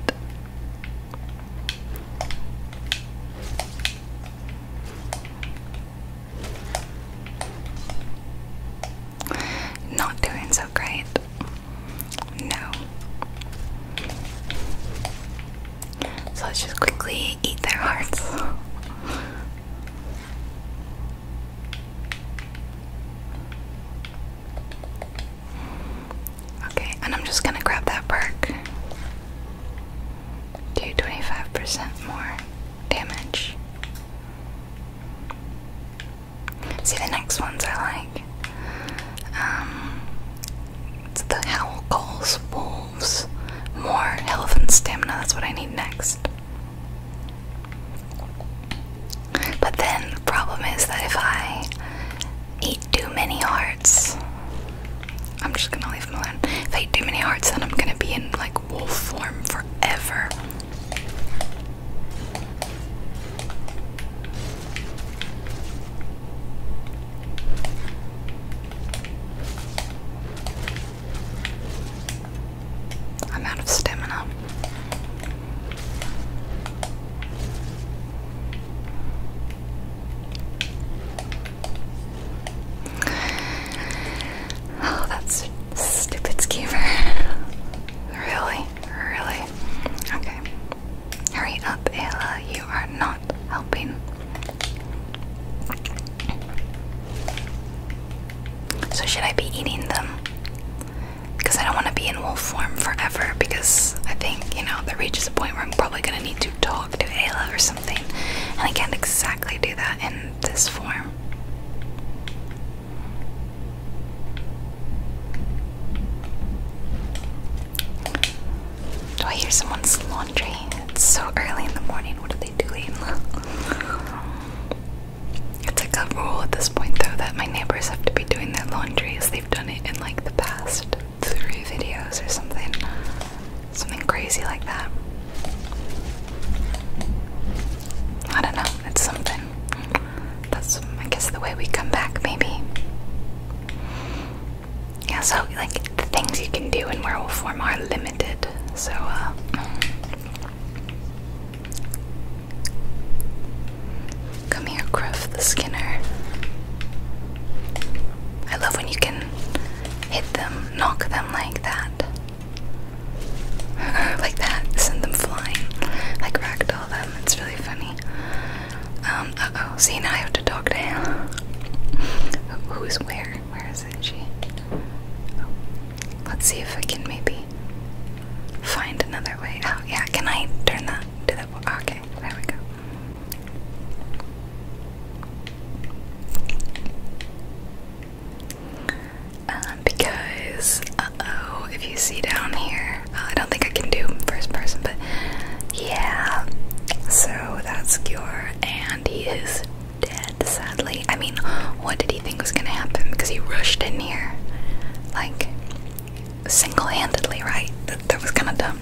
Not doing so great. No. So let's just quickly eat their hearts. okay, and I'm just gonna grab that perk. Do 25% more damage. See the next ones I like. Um, it's the howl calls wolves. More health and stamina. That's what I need next. But then the problem is that if I eat too many hearts, I'm just gonna leave them alone. If I eat too many hearts, then I'm gonna be in like wolf form forever. I'm out of stamina. Oh, that's stupid schemer. really? Really? Okay. Hurry up, Ayla. You are not helping. So, should I be eating them? Because I don't want to be in wolf form forever, because I think, you know, that reaches a point where I'm probably going to need to talk to Ayla or something. And I can't exactly do that in this form. Do I hear someone's laundry? It's so early in the morning. What are they doing? it's like a rule at this point, though, that my neighbors have to be doing their laundry as they've done it in like the past three videos or something. Something crazy like that. I don't know. It's something. That's, I guess, the way we come back, maybe. Yeah, so, like, the things you can do in werewolf form are limited, so, uh. Come here, Gruff the Skinner. I love when you can hit them, knock them like that. like that, send them flying, like ragdoll them. It's really funny. Um, uh oh, see now I have to talk to him. Who's where? Where is it? She. Let's see if I can maybe find another way out. Oh, yeah, can I turn that to the? Okay, there we go. Um, because oh, if you see down here, I don't think I can do first person, but yeah. So that's Cure, and he is dead. Sadly, I mean, what did he think was gonna happen? Because he rushed in here, like single-handedly, right? that was kind of dumb.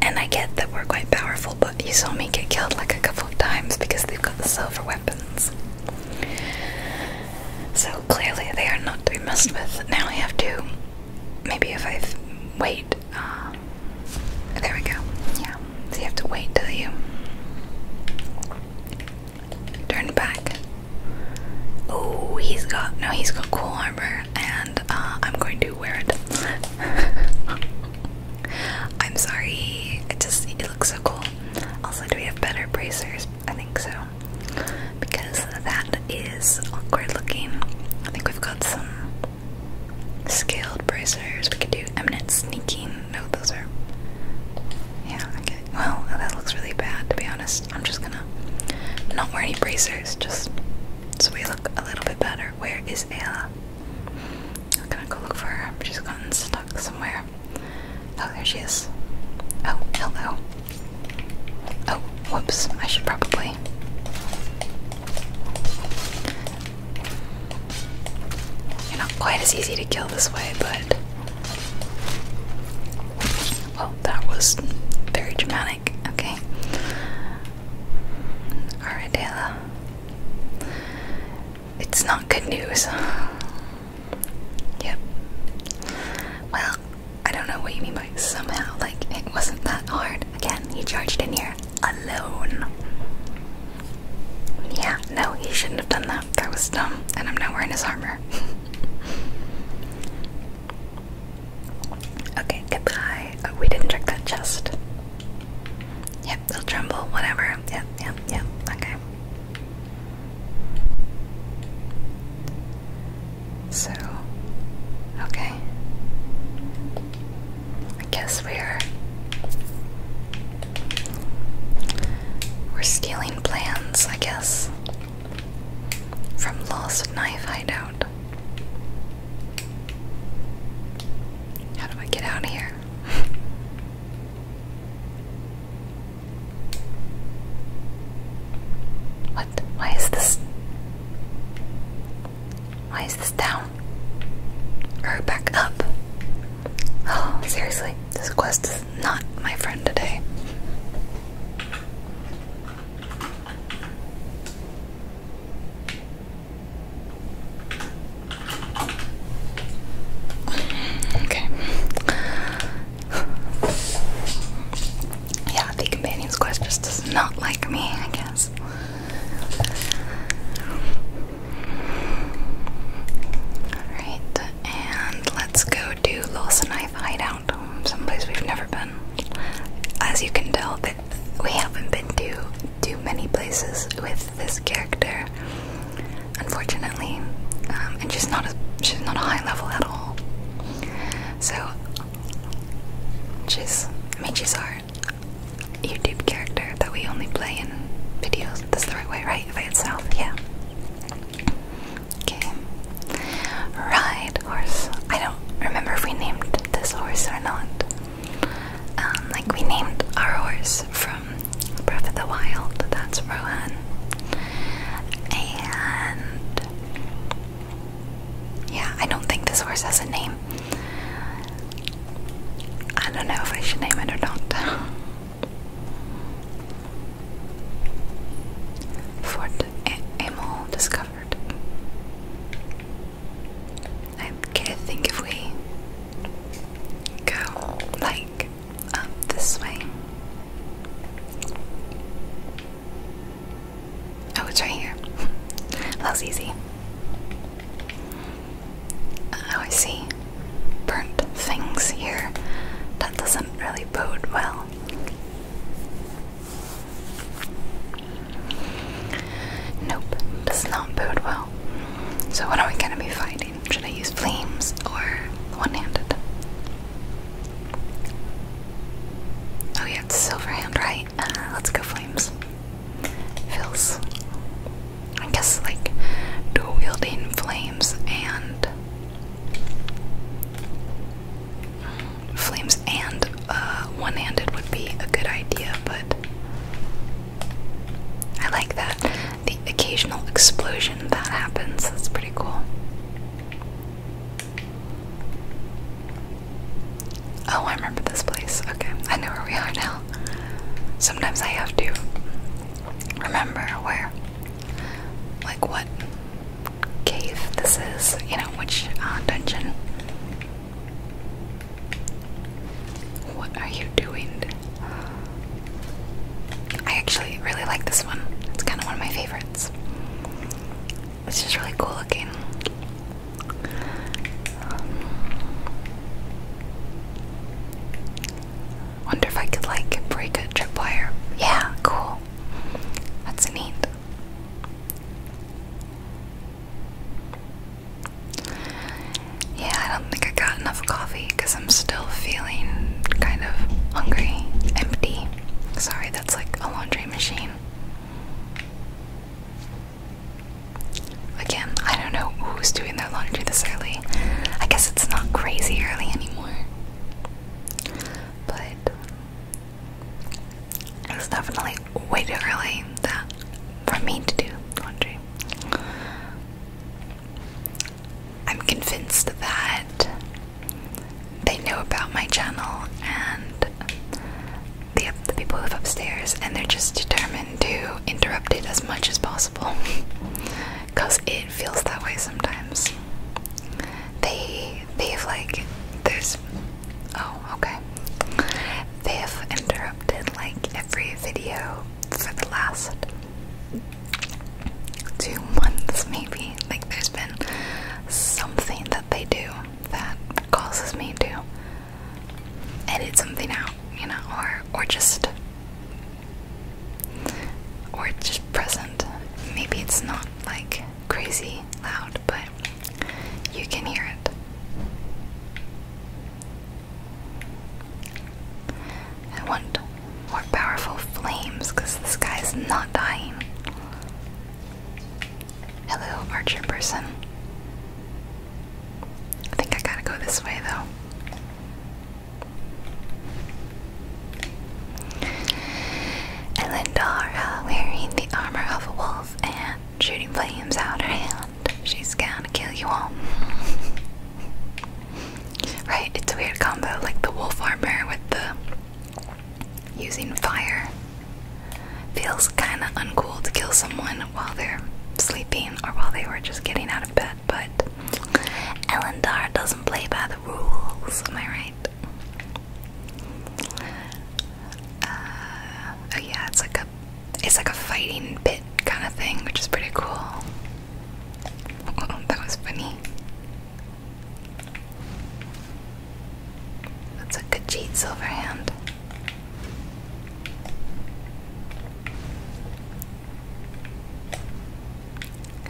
And I get that we're quite powerful, but you saw me get killed like a couple of times because they've got the silver weapons. So clearly they are not to be messed with. Now I have to, maybe if I wait, uh, there we go, yeah. So you have to wait till you turn back. Oh, he's got, no, he's got cool armor and uh, I'm going to wear it. I'm sorry, it just, it looks so cool. Also, do we have better bracers? I think so. Because that is awkward looking. I think we've got some scaled bracers. We could do eminent sneaking. No, those are. Yeah, Well, that looks really bad to be honest. I'm just gonna not wear any bracers just so we look a little bit better. Where is Ayla? I'm gonna go look for her. She's gotten stuck somewhere. Oh, there she is. Oh, hello. Oh, whoops. I should probably. You're not quite as easy to kill this way, but. Well, oh, that was very dramatic. Okay. Alright, Dela. It's not good news. Yep. Well, I don't know what you mean by somehow. Like, it wasn't that hard. Again, he charged in here alone. Yeah, no, he shouldn't have done that. That was dumb, and I'm not wearing his armor. okay, goodbye. Oh, we didn't check that chest. Yep, they'll tremble, whatever. Yep, yep, yep. Okay. So, okay. I guess we're we're stealing plans, I guess, from Lost Knife Hideout. How do I get out of here? What? Why is this? Why is this down? Or back up? Oh, seriously, this quest is not my friend today. Okay. yeah, the companion's quest just does not like me, I guess. Alright, and let's go to Los Knife Hideout, someplace we've never been. As you can tell, that we haven't been to too many places with this character unfortunately, um, and she's not a she's not a high level at all. So she's I mean she's our YouTube character that we only play in videos. That's the right way, right? By itself, yeah. Okay. Ride horse. I don't remember if we named this horse or not. Um, like we named our horse from Breath of the Wild. That's Rohan. And yeah, I don't think this horse has a name. I don't know if I should name it or not. Fort Amol discovered. I can't think if we go like up this way. Oh, it's right here. That's easy. Oh, I see. Burnt things here. That doesn't really bode well. Nope, does not bode well. So, what are we gonna be finding? Should I use flames or one-handed? Oh yeah, silver hand, right? Uh, let's go flames. Feels, I guess, like dual wielding flames and flames and uh, one-handed would be a good idea, but I like that the occasional explosion that happens. That's pretty cool. Oh, I remember this place. Okay, I know where we are now. Sometimes I have to remember where, like, what cave this is, you know, which uh, dungeon. What are you doing? I actually really like this one. It's kind of one of my favorites. It's just really cool looking. Um, wonder if I could like break a tripwire. Yeah, cool. That's neat. Yeah, I don't think I got enough coffee because I'm still feeling kind of hungry, empty. Sorry, that's like a laundry machine. Again, I don't know who's doing their laundry this early. I guess it's not crazy early anymore. But it definitely way too early that for me to do laundry. I'm convinced that they know about my channel and the, the people who live upstairs, and they're just determined to interrupt it as much as possible because it feels that way sometimes. They they've like there's oh okay they have interrupted like every video for the last two months maybe. Like there's been something that they do that causes me to edit something out, you know, or or just or just present. Maybe it's not like crazy loud, but you can hear it. I want more powerful flames because this guy's not dying. Hello, archer person. I think I gotta go this way though. Elendara, wearing the armor of a wolf and shooting flames out her hand. She's gonna kill you all. right, it's a weird combo, like the wolf armor with the Using fire. Feels kinda uncool to kill someone while they're sleeping or while they were just getting out of bed, but Elendar doesn't play by the rules, am I right? Uh, oh yeah, it's like a it's like a fighting bit kind of thing, which is pretty cool. that was funny. That's a good cheat, Silverhand.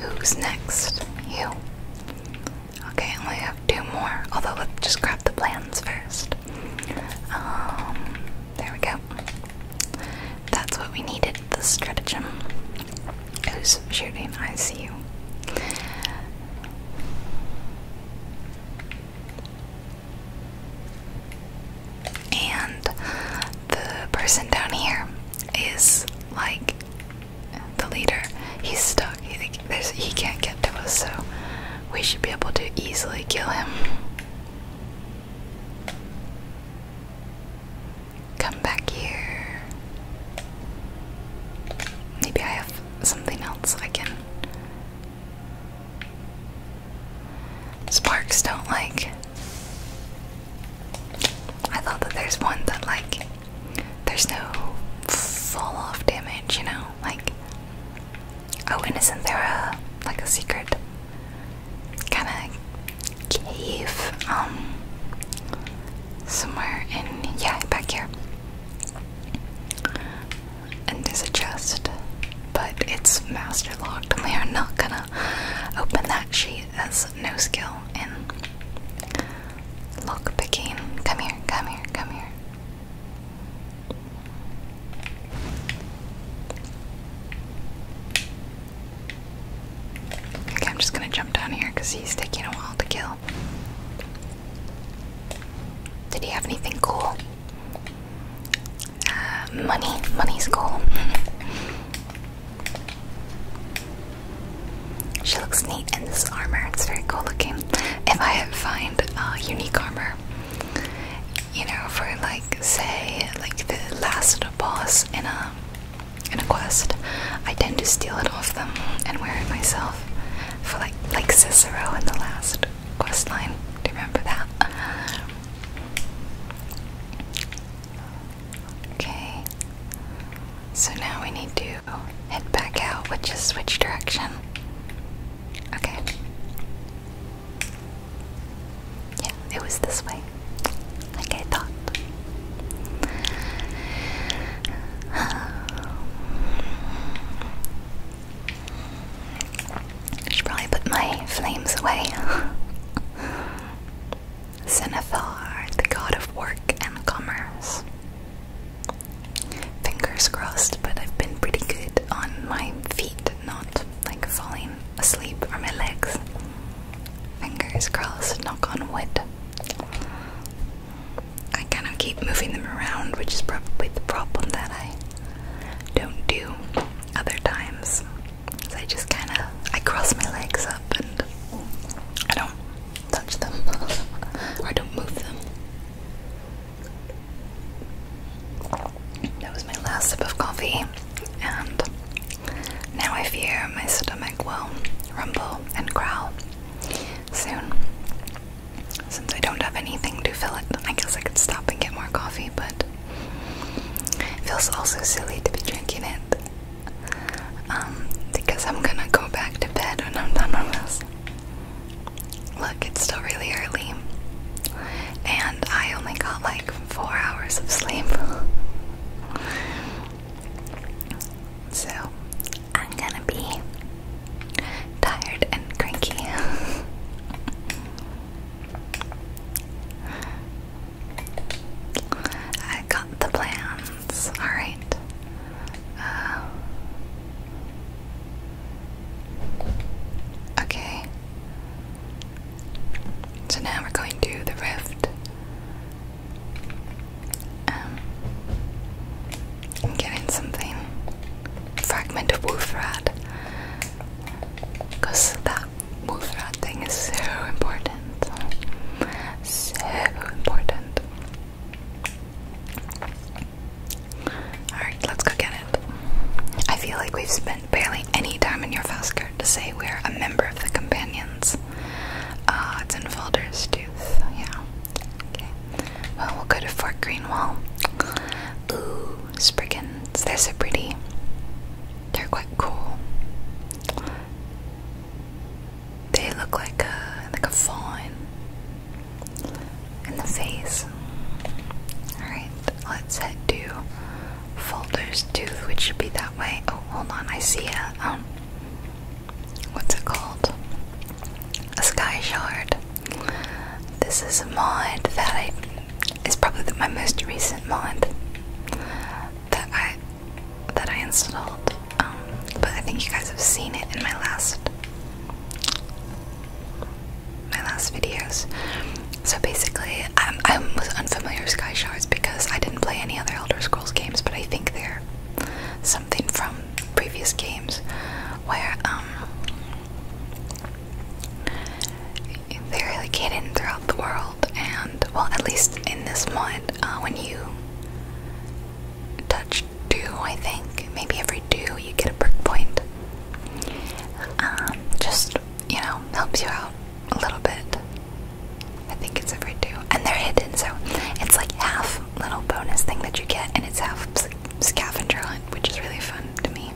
Who's next? You. Okay, I only have two more. Although, let's just grab the plans first. Um, there we go. That's what we needed the stratagem who's shooting I see you. And the person down here is like the leader. He's stuck. he can't get to us, so we should be able to easily kill him. Come back here. Maybe I have something else I can. Sparks don't like. I thought that there's one that, like, there's no fall off damage, you know? Like. Oh, and isn't there a. like a secret? Kinda cave, um, somewhere in, yeah, back here. And there's a chest, but it's master locked, we are not gonna open that. She has no skill in lockpicking. Come here, come here, come here. Okay, I'm just gonna jump down here because he's taking a while to kill. Did he have anything cool? Uh, money. Money's cool. she looks neat in this armor. It's very cool looking. If I find a uh, unique armor, you know, for like, say, like the last boss in a in a quest, I tend to steal it off them and wear it myself. For like like Cicero in the last quest line. Do you remember that? Okay. So now we need to head back out, which is which direction? Okay. Yeah, it was this way. Like I thought. I should probably put my flames away. Cinnathar, the god of work and commerce. Fingers crossed, but I've been pretty good on my feet, not like falling asleep or my legs. Fingers crossed, knock on wood. I kind of keep moving them around, which is probably the problem that I don't do other times. I just kind of I cross my legs up and I don't touch them or I don't move them. That was my last sip of coffee, and now I fear my stomach will rumble and growl soon. Since I don't have anything to fill it, I guess I could stop and get more coffee, but it feels also silly to be drinking it. Um, because I'm gonna go back to bed when I'm done with this. Look, it's still really early. And I only got like four hours of sleep. so, I'm gonna be tired and cranky. I got the plans. Alright. Uh, okay. So now we're going to the rift. Um, I'm getting something. Fragment of wolf rat. that wolf rat thing is so important. So important. Alright, let's go get it. I feel like we've spent barely any time in your fast to say we're a member of the companions is. Uh, it's in Tooth. yeah. Okay. Well, we'll go to Fort Greenwall. Ooh, Spriggans. They're so pretty. They're quite cool. They look like a like a fawn in the face. Alright, let's head to Tooth, which should be that way. Oh, hold on, I see it. um what's it called? A sky shard. This is a mod that I probably my most recent mod that I that I installed. Um, but I think you guys have seen it in my last my last videos. So basically, I'm, I was unfamiliar with Sky Shards because I didn't play any other Elder Scrolls games, but I think they're something from previous games where um, they're like hidden throughout the world and well at least in this mod uh, when you touch two I think maybe every two you get a perk point um, just you know helps you out a little bit I think it's a every two. And they're hidden, so it's like half little bonus thing that you get, and it's half scavenger hunt, which is really fun to me.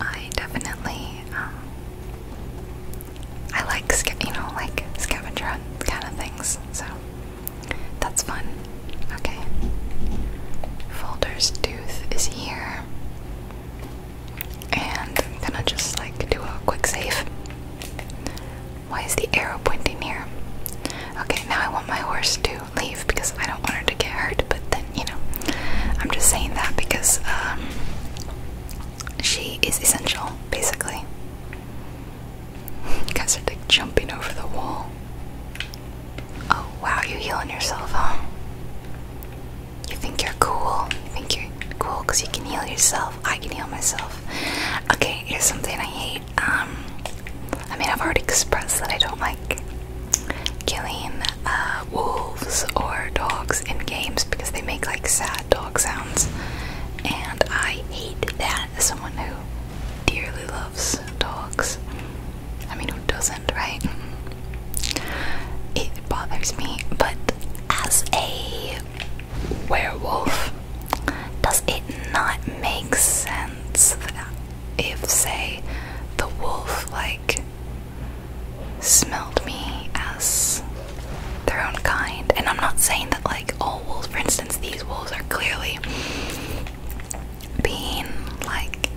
I definitely, um, I like, you know, like scavenger hunt kind of things, so that's fun. Okay. Folder's Tooth is here. And I'm gonna just like do a quick save. Why is the arrow pointing here? Okay, now I want my horse to leave because I don't want her to get hurt, but then, you know, I'm just saying that because um, she is essential, basically. guys are like jumping over the wall. Oh, wow, you healing yourself, huh? You think you're cool? You think you're cool because you can heal yourself? I can heal myself. Okay, here's something I hate. Um, I mean, I've already expressed that I don't like killing uh, wolves or dogs in games because they make like sad dog sounds, and I hate that as someone who dearly loves dogs. I mean, who doesn't, right? It bothers me, but as a werewolf, does it not make sense that if, say, the wolf, like, smelled me as their own kind? And I'm not saying that, like, all wolves, for instance, these wolves are clearly being, like,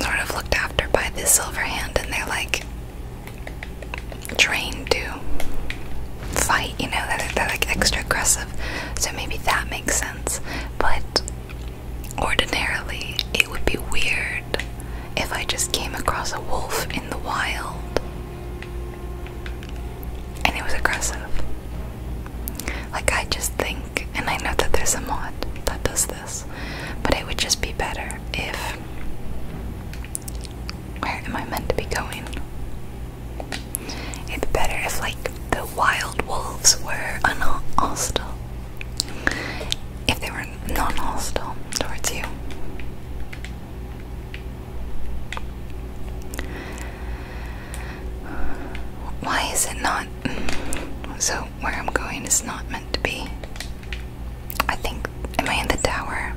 sort of looked after by this silver hand, and they're like trained to fight, you know, that they're, they're like extra aggressive. So maybe that makes sense. But ordinarily, it would be weird if I just came across a wolf in the wild and it was aggressive. Like, I just think, and I know that there's a mod that does this, but it would just be better if where am I meant to be going? It'd be better if, like, the wild wolves were unhostile. If they were non hostile towards you. Why is it not? So, where I'm going is not meant to be. I think Am I in the tower?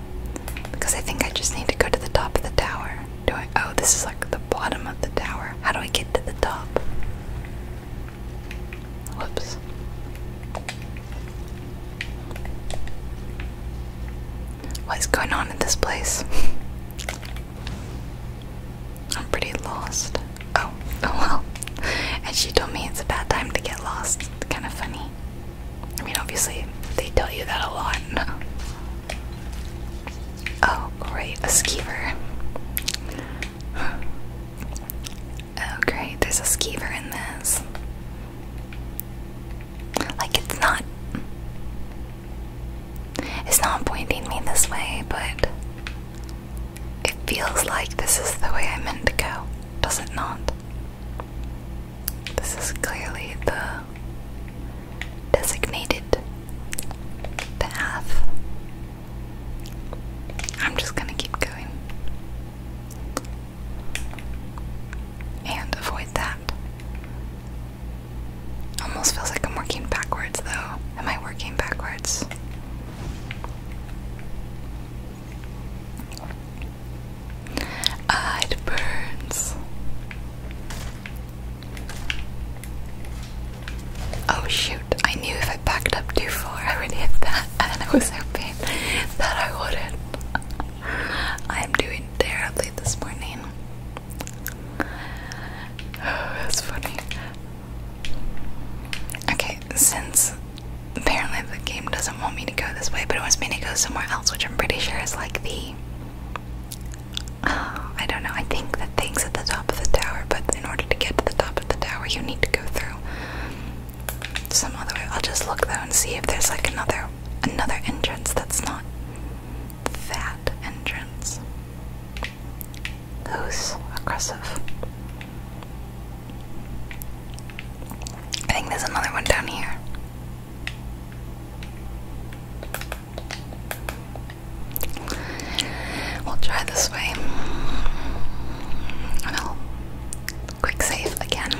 Because I think I just need to go to the top of the tower. Do I? Oh, this is like the bottom of the tower. How do I get to the top? Whoops. What is going on in this place? I'm pretty lost. Oh, oh well. And she told me it's a bad time to get lost. Kind of funny. I mean, obviously, they tell you that a lot. Oh, great, a skeever. Oh, great, there's a skeever in this. Like, it's not. It's not pointing me this way, but it feels like this is the way I meant to go, does it not? This is clearly the designated path. I'm just gonna keep going. And avoid that. Almost feels like I'm working backwards though. Am I working backwards? it burns. Oh shoot, I knew if I backed up too far I would hit that and I was hoping that I wouldn't. I am doing terribly this morning. Oh, that's funny. Okay, since apparently the game doesn't want me to go this way, but it wants me to go somewhere else, which I'm pretty sure is like the I don't know, I think the thing's at the top of the tower, but in order to get to the top of the tower, you need to go through some other way. I'll just look though and see if there's like another another entrance that's not that entrance. Who's aggressive? I think there's another one down here. We'll try this way. And I'll quick save again.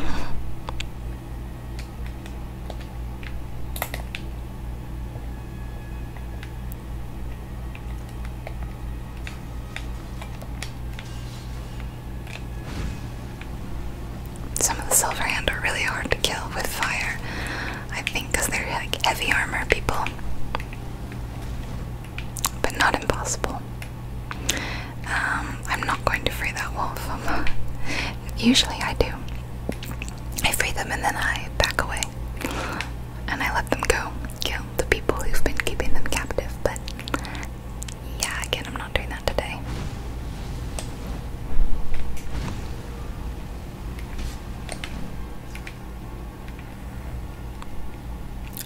Some of the Silverhand are really hard to kill with fire, I think, because they're like heavy armor people. But not impossible. Um, I'm not going to free that wolf. usually I do. I free them and then I back away. And I let them go. Kill the people who've been keeping them captive. But yeah, again, I'm not. Oh,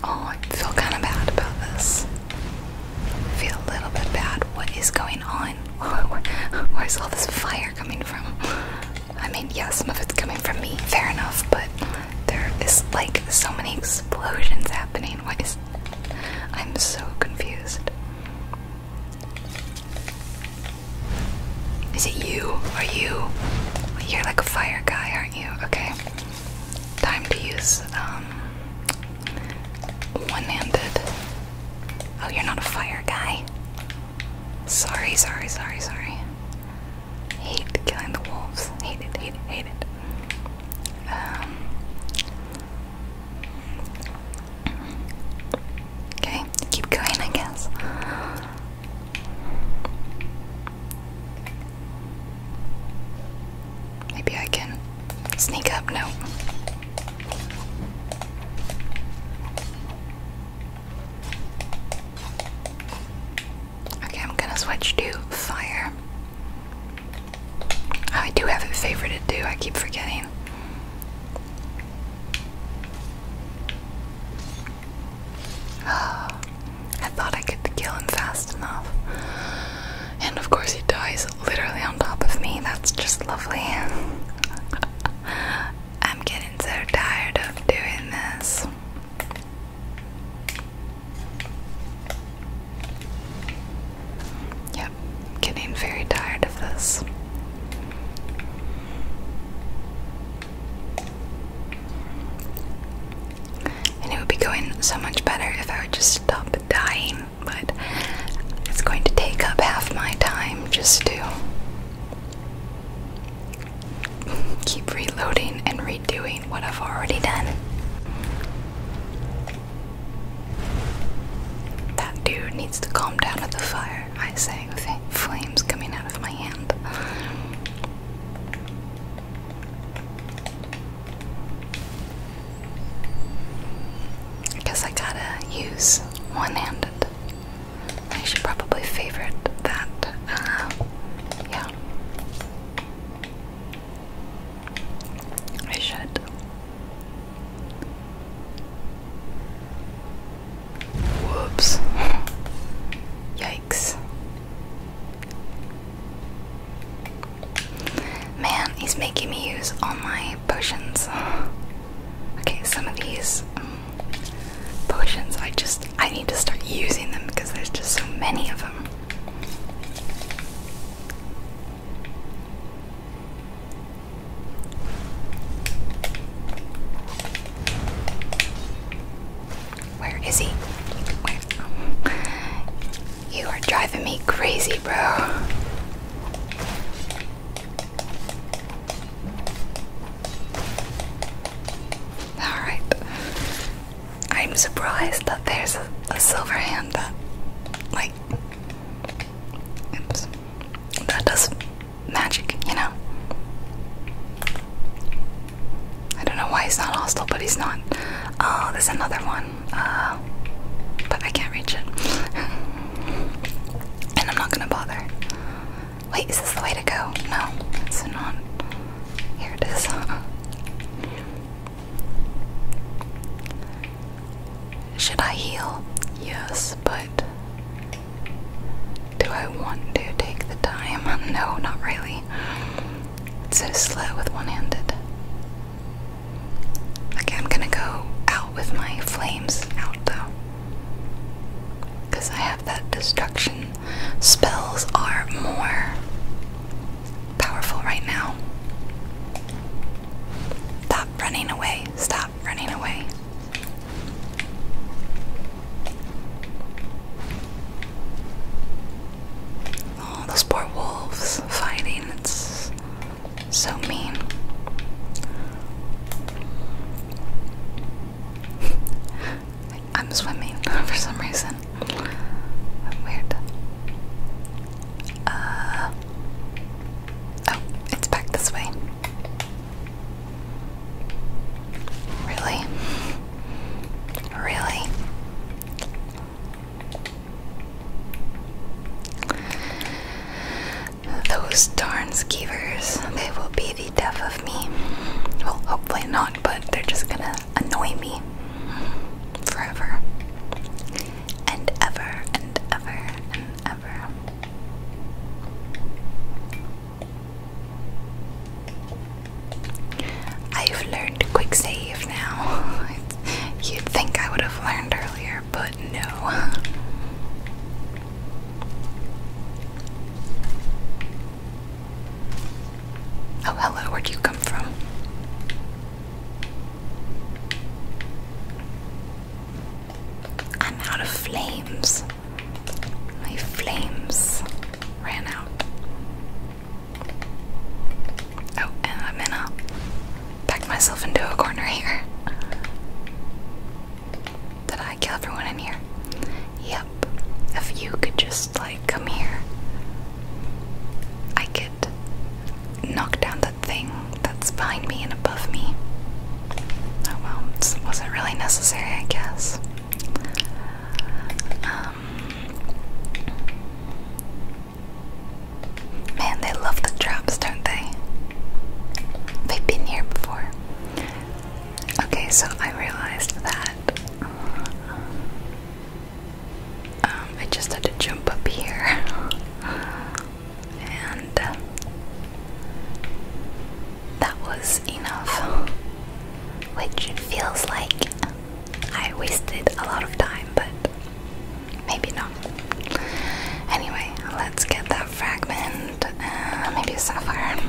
I feel kind of bad about this. feel a little bit bad. What is going on? Where's all this fire coming from? I mean, yeah, some of it's coming from me, fair enough, but there is like so many explosions happening. What is. I'm so confused. Is it you? Are you? You're like a fire guy, aren't you? Okay. Time to use um one-handed. Oh, you're not a fire guy. Sorry, sorry, sorry, sorry. Hate killing the wolves. Hate it, hate it, hate it. Um Okay, keep going, I guess. Maybe I can sneak up. No. Okay, I'm gonna switch to fire. Oh, I do have a favor to do. I keep forgetting. I thought I could kill him fast enough. And of course, he dies literally on top of me. That's just lovely. I'm getting so tired of doing this. Yep, getting very tired of this. And it would be going so much better if I would just stop dying, but it's going to take up half my time just to keep reloading and redoing what I've already done. That dude needs to calm down at the fire, I say, with flames coming out of my hand. I guess I gotta use one handed. I should probably favorite that. Uh, yeah. I should. Whoops. Yikes. Man, he's making me use all my potions. Okay, some of these um, potions, I just, I need to start using them because there's just so many of them. Where is he? You are driving me crazy, bro. Alright. I'm surprised that there's a, a silver hand that, like, Oops. That does magic, you know? I don't know why he's not hostile, but he's not. Oh, there's another one. Uh, but I can't reach it. and I'm not gonna bother. Wait, is this the way to go? No, it's not. Here it is. Should I heal? Yes, but do I want to take the time? No, not really. It's so slow with one handed. Okay, I'm gonna go out with my flames out though. Because I have that destruction. Spells are more powerful right now. Stop running away. Stop running away. Oh, those poor wolves fighting. It's so mean. I'm swimming for some reason. Weird. Uh, Oh, it's back this way. Really? Really? Those darn skeevers, they will be the death of me. Well, hopefully not, but they're just gonna annoy me forever and ever and ever and ever. I've learned quick save now. You'd think I would have learned earlier, but no. Oh, hello, where'd you come from? I'm out of flames. My flames ran out. Oh, and I'm gonna back myself into a corner here. Did I kill everyone in here? Yep. If you could just, like, come here, I could knock down that thing that's behind me and above me. Oh well, it wasn't really necessary, I guess. Um, man, they love the drops, don't they? They've been here before. Okay, so I realized that. Um, I just had to jump up here. and uh, that was enough, which feels like I wasted a lot of time, but maybe not. Anyway, let's get that fragment, uh, maybe a sapphire,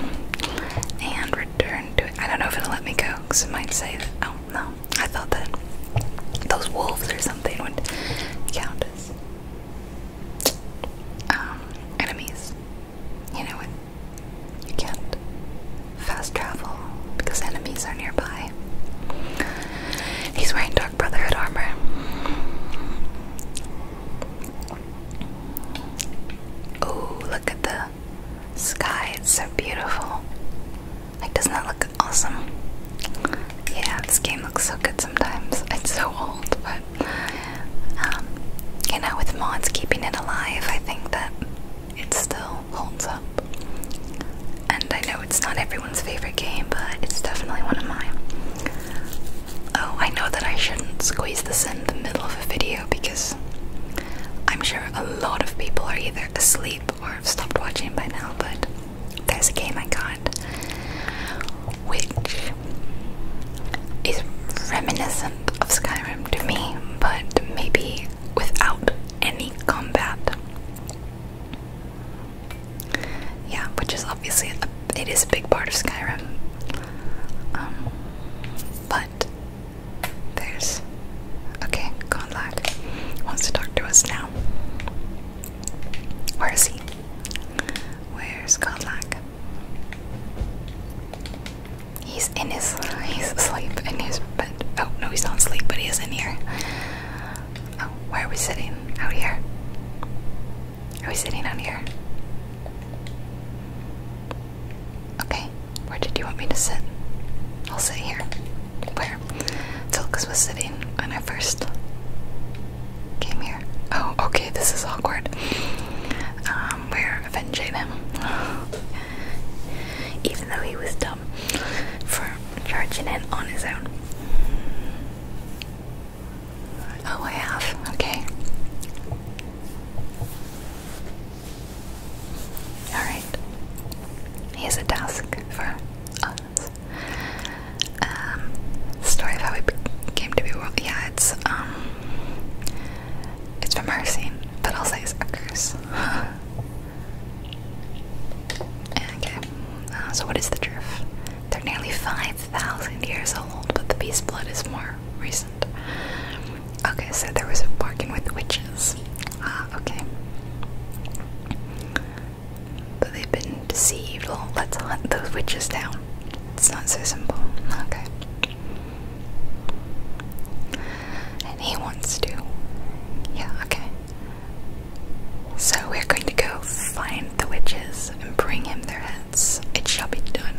and return to it. I don't know if it'll let me go because it might say Oh no, I thought that those wolves or something would count as um, enemies. You know it. You can't fast travel because enemies are nearby. He's wearing Dark Brotherhood armor. Oh, look at the sky. It's so beautiful. Like, doesn't that look awesome? Yeah, this game looks so good sometimes. It's so old, but um, you know, with mods keeping it alive, I think that it still holds up. And I know it's not everyone's favorite game, but it's definitely one of mine. Oh, I know that I shouldn't squeeze this in the middle of a video because I'm sure a lot of people are either asleep or have stopped watching by now, but there's a game I can't which is reminiscent of Skyrim to me, but maybe without any combat. Yeah, which is obviously it is a big part of Skyrim. Um, but there's okay. Conlag wants to talk to us now. Where is he? Where's Godlack? He's in his he's asleep in his bed. Oh no, he's not asleep, but he is in here. Oh, where are we sitting? Out here. Are we sitting out here? Okay, where did you want me to sit? I'll sit here. Where? Tilkus was sitting when I first came here. Oh, okay, this is awkward. Um, we're avenging him. Even though he was dumb for charging in on his own. Oh, I have. Okay. Alright. Here's a task for us. Um, story of how we came to be. Yeah, it's um, it's from her scene, but I'll say it's a okay, uh, so what is the truth? They're nearly five thousand years old, but the beast blood is more recent. Okay, so there was a bargain with witches. Ah, okay. But they've been deceived. let's hunt those witches down. It's not so simple. Okay. And he wants to. Yeah, okay. So we're going to go find the witches and bring him their heads. It shall be done.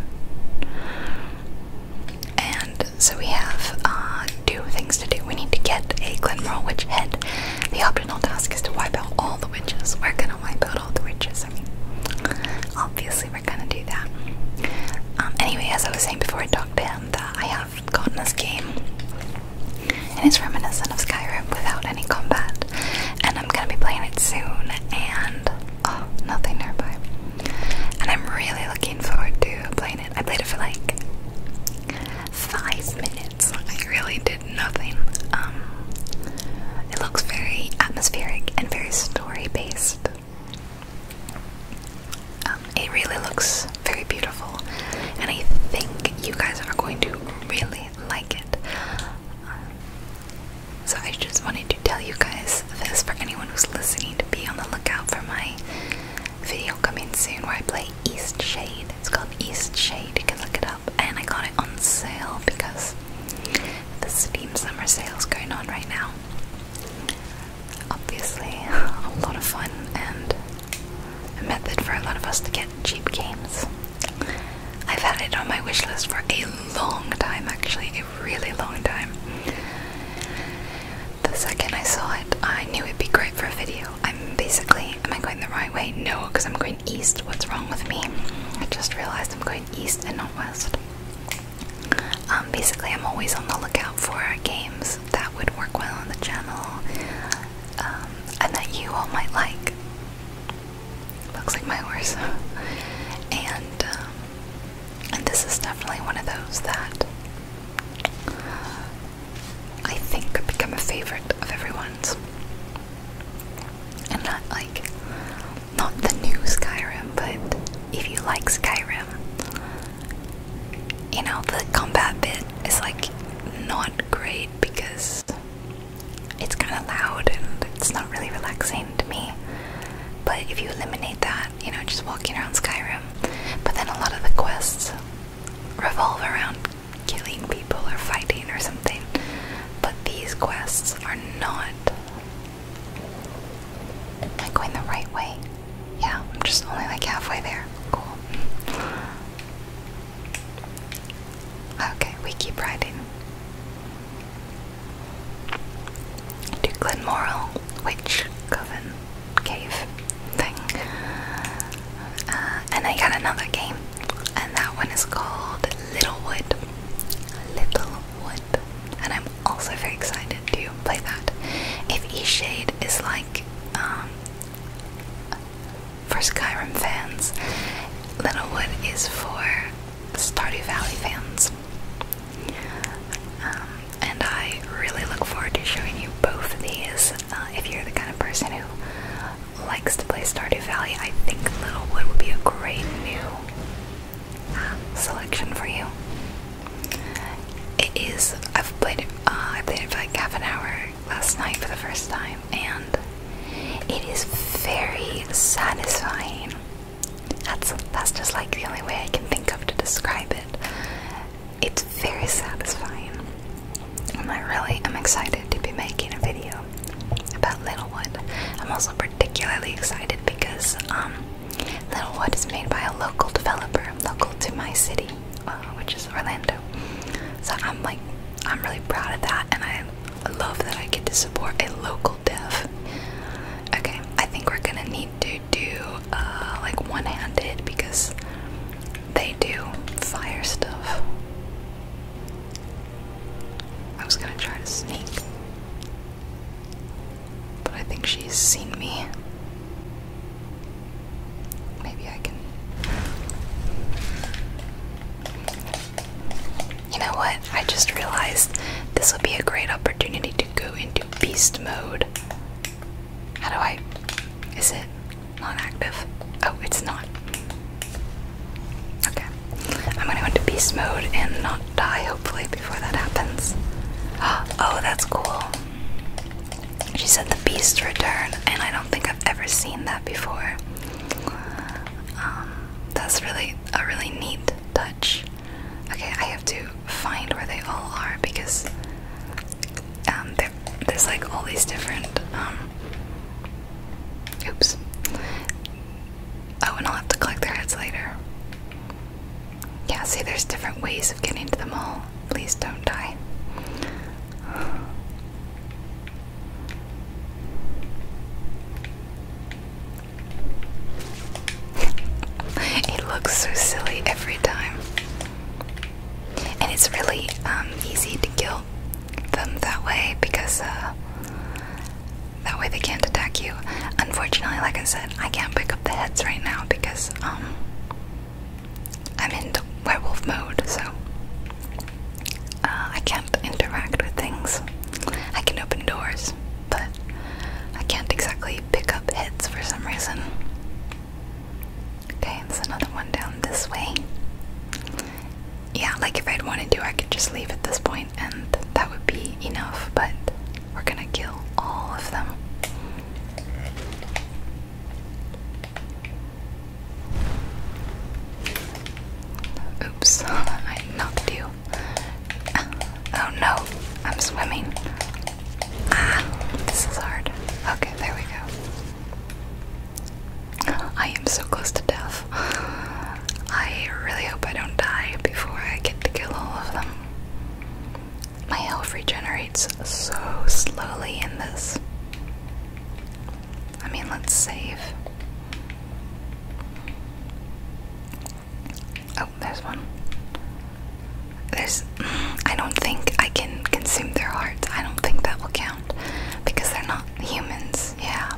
And so we have uh, two things to do. We need to get a Glenmoral witch head. The optional task is to wipe out all the witches. We're gonna wipe out all the riches. I mean, obviously we're gonna do that. Um, anyway, as I was saying before, I talked to him that I have gotten this game, and it's reminiscent of Skyrim without any combat, and I'm gonna be playing it soon. And oh, nothing nearby. And I'm really looking forward to playing it. I played it for like five minutes. I really did nothing. Um, it looks very atmospheric and very story based. Um, it really looks very beautiful, and I think you guys are going to really like it. Um, so, I just wanted to tell you guys this for anyone who's listening to be on the lookout for my video coming soon where I play East Shade. It's called East Shade, you can look it up. And I got it on sale because the Steam Summer Sale is going on right now. Obviously, a lot of fun and a method for a lot of us to get cheap games. I've had it on my wish list for a long time, actually, a really long time. The second I saw it, I knew it'd be great for a video. I'm basically, am I going the right way? No, because I'm going east. What's wrong with me? I just realized I'm going east and not west. Um, basically, I'm always on the lookout for games that would work well on the channel um, and that you all might like. Looks like my horse. Um, and this is definitely one of those that I think could become a favorite of everyone's and not like not the new Skyrim, but if you like Skyrim, you know the combat bit is like not great because it's kind of loud and it's not really relaxing to me. But if you eliminate that, you know, just walking around Skyrim. But then a lot of the quests revolve around killing people or fighting or something. But these quests are not not. Am going the right way? Yeah, I'm just only like halfway there. Cool. Okay, we keep riding. To Glenmoral Witch Coven Cave thing. Uh, and I got another game and that one is called Littlewood. Littlewood. And I'm also very excited to play that. If E shade is like um, for Skyrim fans, Littlewood is for Stardew Valley fans. Um, and I really look forward to showing you both of these. Uh, if you're the kind of person who likes to play Stardew Valley, I think Littlewood would be a great new selection for you. It is. I've played it. Uh, I played it for like half an hour last night for the first time, and it is very satisfying. That's that's just like the only way I can think of to describe it. It's very satisfying, I'm really am excited to be making a video about Littlewood. I'm also particularly excited because um, Littlewood is made by a local developer, local to my city, uh, which is Orlando. So I'm like, I'm really proud of that, and I love that I get to support a local dev. Okay, I think we're gonna need to do uh, like one-handed because they do fire stuff. I was gonna try to sneak. But I think she's seen me. Maybe I can. You know what? I just realized this would be a great opportunity to go into beast mode. How do I. Is it non active? Oh, it's not. Okay. I'm gonna go into beast mode and not die, hopefully, before that happens. Oh, that's cool. She said the beast return, and I don't think I've ever seen that before. Um, that's really a really neat touch. Okay, I have to find where they all are because um, there's like all these different um, Oops. Oh, and I'll have to collect their heads later. Yeah, see, there's different ways of getting to the mall. Please don't die. it looks so silly every time. And it's really um, easy to kill them that way because uh, that way they can't attack you. Unfortunately, like I said, I can't pick up the heads right now because um I'm in werewolf mode, so uh, I can't interact with things. I can open doors, but I can't exactly pick up heads for some reason. Okay, there's another one down this way yeah, like if I'd wanted to, I could just leave at this point and that would be enough, but we're gonna kill all of them. Oops, I knocked you. Oh no, I'm swimming. Ah, this is hard. Okay, there we go. I am so close to death. I really hope I don't die before I get to kill all of them. My health regenerates so slowly in this. I mean, let's save. Oh, there's one. There's. I don't think I can consume their hearts. I don't think that will count because they're not humans. Yeah.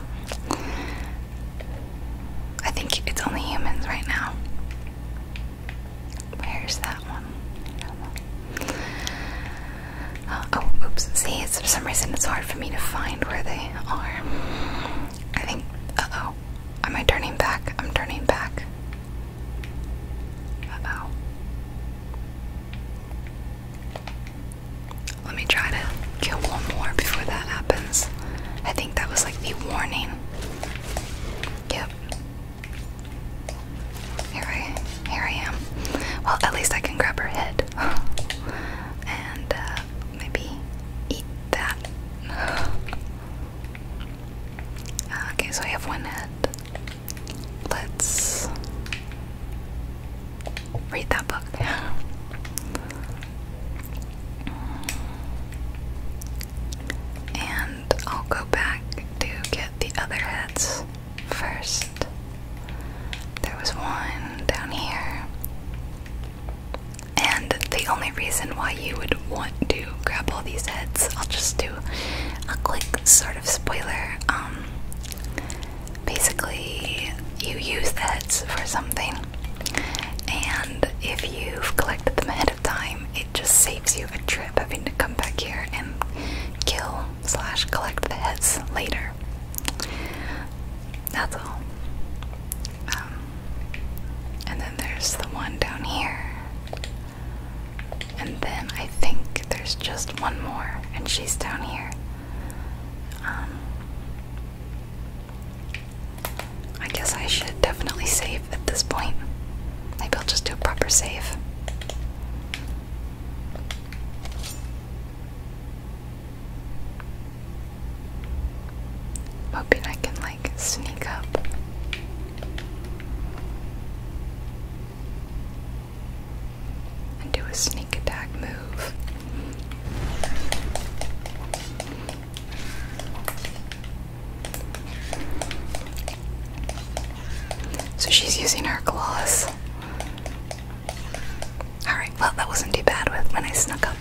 I think it's only humans right now. Where's that one? I uh, do oh, oops. See, it's, for some reason it's hard for me to find where they are. I think. Uh oh. Am I turning back? I'm turning back. Uh oh. Let me try to kill one more before that happens. I think that was like the warning. Yep. Here I, here I am. Well, at least I can grab her head. and uh, maybe eat that. Uh, okay, so I have one head. Let's read that book. And I'll go back to get the other heads first. There was one down here. And the only reason why you would want to grab all these heads, I'll just do a quick sort of spoiler. Um, basically, you use the heads for something and if you've collected them ahead of time, it just saves you a trip having to come back here and kill slash collect the heads later. That's all. Um, and then there's the one down here. And then I think there's just one more, and she's down here. Um, I guess I should definitely save at this point. Maybe I'll just do a proper save. Hoping I can like sneak up. And do a sneak attack move. So she's using her claws. Alright, well, that wasn't too bad with when I snuck up.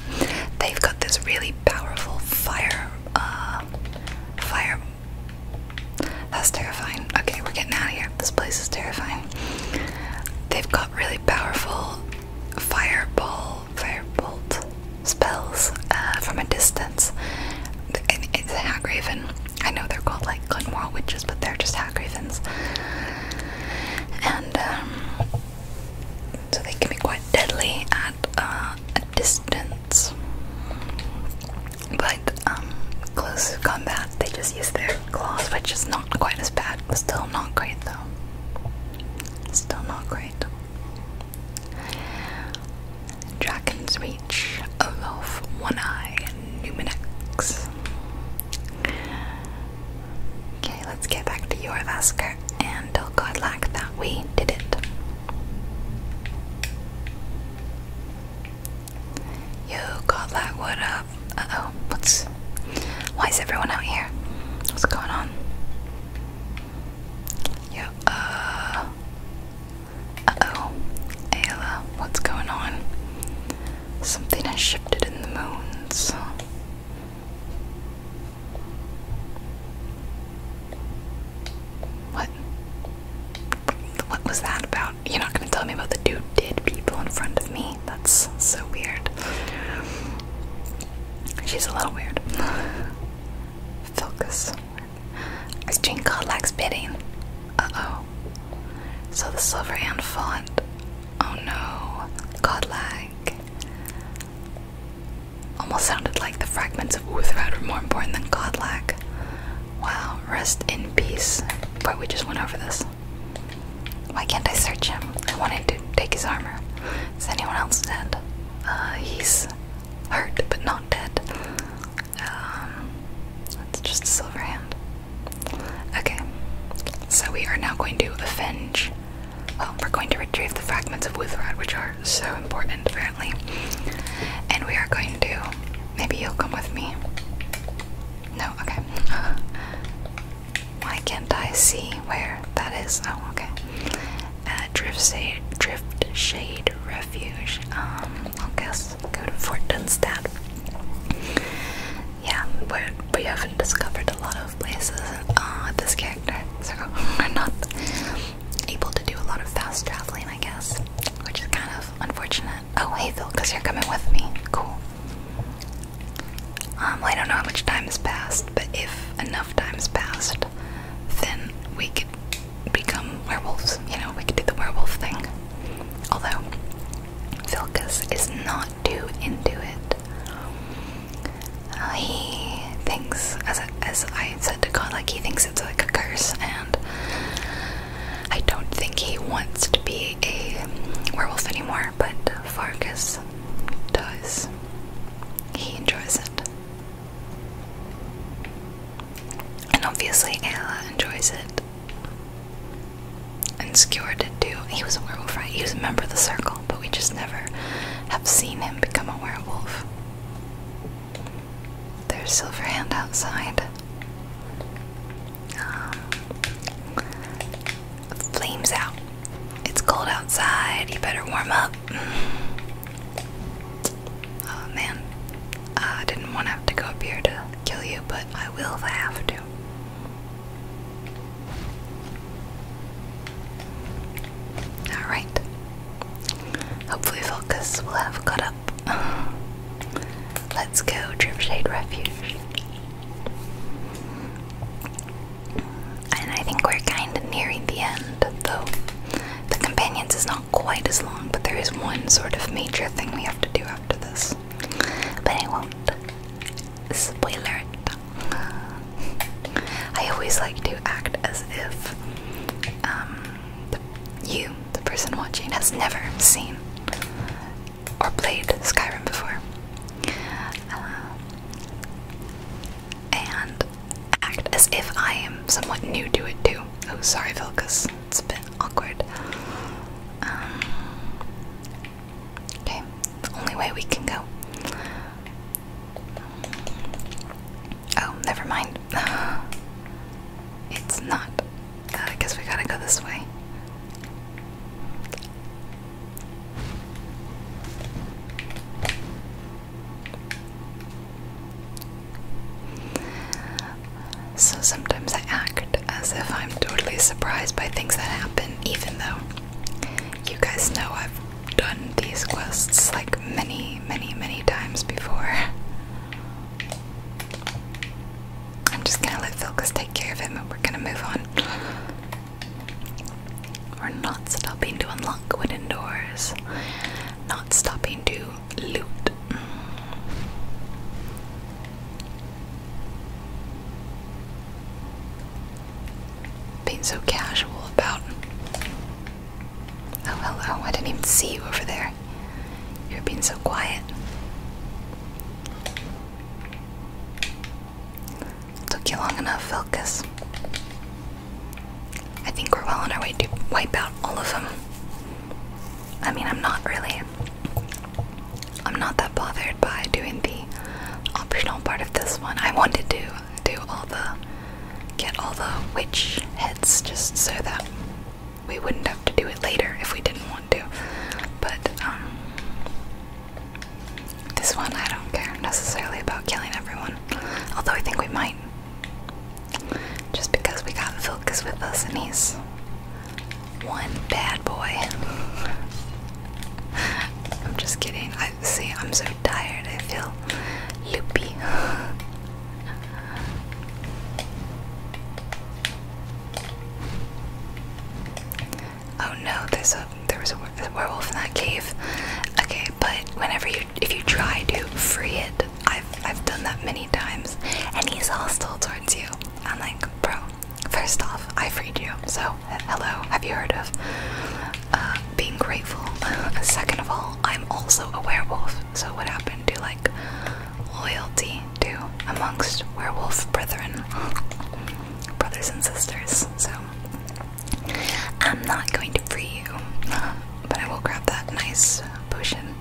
They've got this really powerful fire. Uh, fire. That's terrifying. Okay, we're getting out of here. This place is terrifying. They've got really powerful fireball firebolt spells uh, from a distance. It, Hagraven. I know they're called like Glenmore witches, but they're just Hagravens. And um, so they can be quite deadly at uh, a distance. But um, close combat, they just use their claws, which is not quite as bad. Still not great though. Still not great right. Dragon's Reach, Olaf, One Eye, and Numenex. Okay, let's get back to your Yorvaskar and tell Godlack that we did it. Yo, Godlack, what up? Uh oh, what's. Why is everyone out here? What's going on? Yeah, uh. Uh oh. Ayla, what's going on? Something has shifted in the moons. What? What was that about? You're not gonna tell me about the dude did people in front of me? That's so weird. She's a little weird. Focus. Jean lacks bidding. Uh oh. So the silver Hand fought. Oh no. Godlag. Almost sounded like the fragments of Uthrad were more important than Godlag. Wow, rest in peace. But we just went over this. Why can't I search him? I wanted to take his armor. Is anyone else dead? Uh, he's hurt but not dead. It's um, just a silver hand. Okay, so we are now going to avenge. Well, we're going to retrieve the fragments of Wuthrad, which are so important apparently. And we are going to. Maybe you'll come with me. No, okay. Why can't I see where that is? Oh, okay. Uh, drift shade, drift shade refuge. Um, i guess go to Fort Dunstad. Yeah, we're, we we have not discovered a lot of places uh, this character, so we're not able to do a lot of fast traveling, I guess, which is kind of unfortunate. Oh, hey Phil, because you're coming with me. Cool. Um, I don't know how much time has passed, but if enough time has passed, then we could become werewolves. You know, we could do the werewolf thing. Although, Vilkas is not too into it. Uh, he thinks, as I, as I said to God, like he thinks it's like a curse, and I don't think he wants to be a werewolf anymore. But Fargus does, he enjoys it. And obviously, Ayla enjoys it. And Skewer did too. He was a werewolf, right? He was a member of the circle, but we just never have seen him become a werewolf. There's Silverhand outside. Um, flames out. It's cold outside. You better warm up. Oh man, I didn't want to have to go up here to kill you, but I will have to. Alright. Hopefully, Focus will have caught up. Let's go, Dripshade Refuge. And I think we're kind of nearing the end, though. The companions is not quite as long, but there is one sort of major thing we have to do after this. But I won't. Spoiler it. I always like to act as if um, the, you, the person watching, has never seen or played Skyrim before. Uh, and act as if I am somewhat new to it too. Oh, sorry, Phil, it's a bit awkward. Um, okay, only way we can go. Oh, never mind. It's not. Uh, I guess we gotta go this way. So sometimes I act as if I'm totally surprised by things that happen, even though you guys know I've done these quests like many, many, many times before. I'm just gonna let Vilkas take care of him and we're gonna move on. We're not stopping to unlock wooden doors. Not stopping to loot. Being so casual about. Oh, hello. I didn't even see you over there. You're being so quiet. Took you long enough, Filkus. I think we're well on our way to wipe out all of them. I mean, I'm not really. I'm not that bothered by doing the optional part of this one. I wanted to do all the. get all the witch heads just so that we wouldn't have to do it later if we didn't want to. But, um. This one, I don't care necessarily about killing everyone, although I think we might. Just because we got Vilkas with us and he's one bad boy. I'm just kidding. I see, I'm so tired, I feel loopy. Oh no, there's a there was a werewolf in that cave. Okay, but whenever you if you try to free it, I've I've done that many times, and he's hostile towards you. I'm like, bro. First off, I freed you, so hello. Have you heard of uh, being grateful? Second of all, I'm also a werewolf. So what happened to like loyalty to amongst werewolf brethren, brothers and sisters? So I'm not going to free you, but I will grab that nice potion.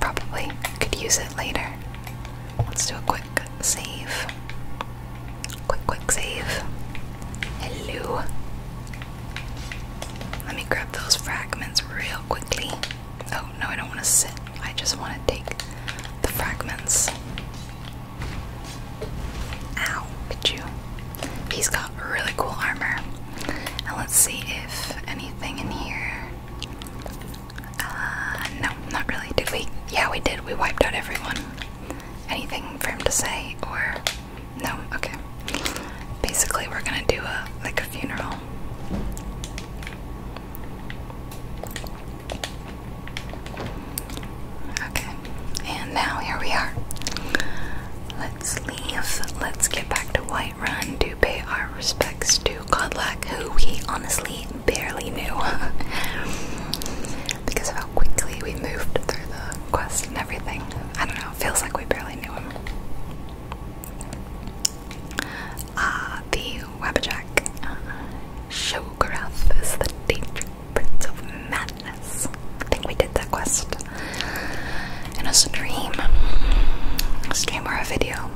Probably could use it later. Let's do a quick save. Quick, quick save. Hello. Let me grab those fragments real quickly. Oh, no, I don't want to sit. I just want to take the fragments. Ow, Pichu. He's got really cool armor. And let's see if anything in here. Uh, no, not really. Did we? Yeah, we did. We wiped out everyone. Anything for him to say or. No, okay. Basically, we're gonna do a like a funeral. Okay, and now here we are. Let's leave. Let's get back to Whiterun to pay our respects to Godlack, who we honestly barely knew because of how quickly we moved through the quest and everything. I don't know, it feels like we barely knew him. Ah, the Wabajack. Uh, Shogarath is the danger Prince of Madness. I think we did that quest in a stream, a stream or a video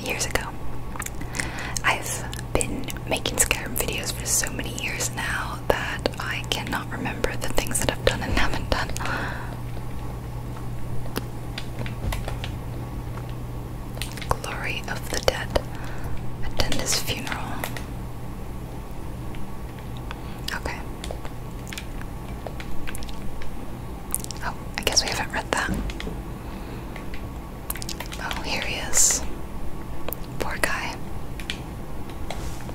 years ago. I've been making Skyrim videos for so many years now that I cannot remember the things that I've done and haven't done. Glory of the Dead. Attend his funeral. Okay. Oh, I guess we haven't read that. Oh, here he is. Poor guy.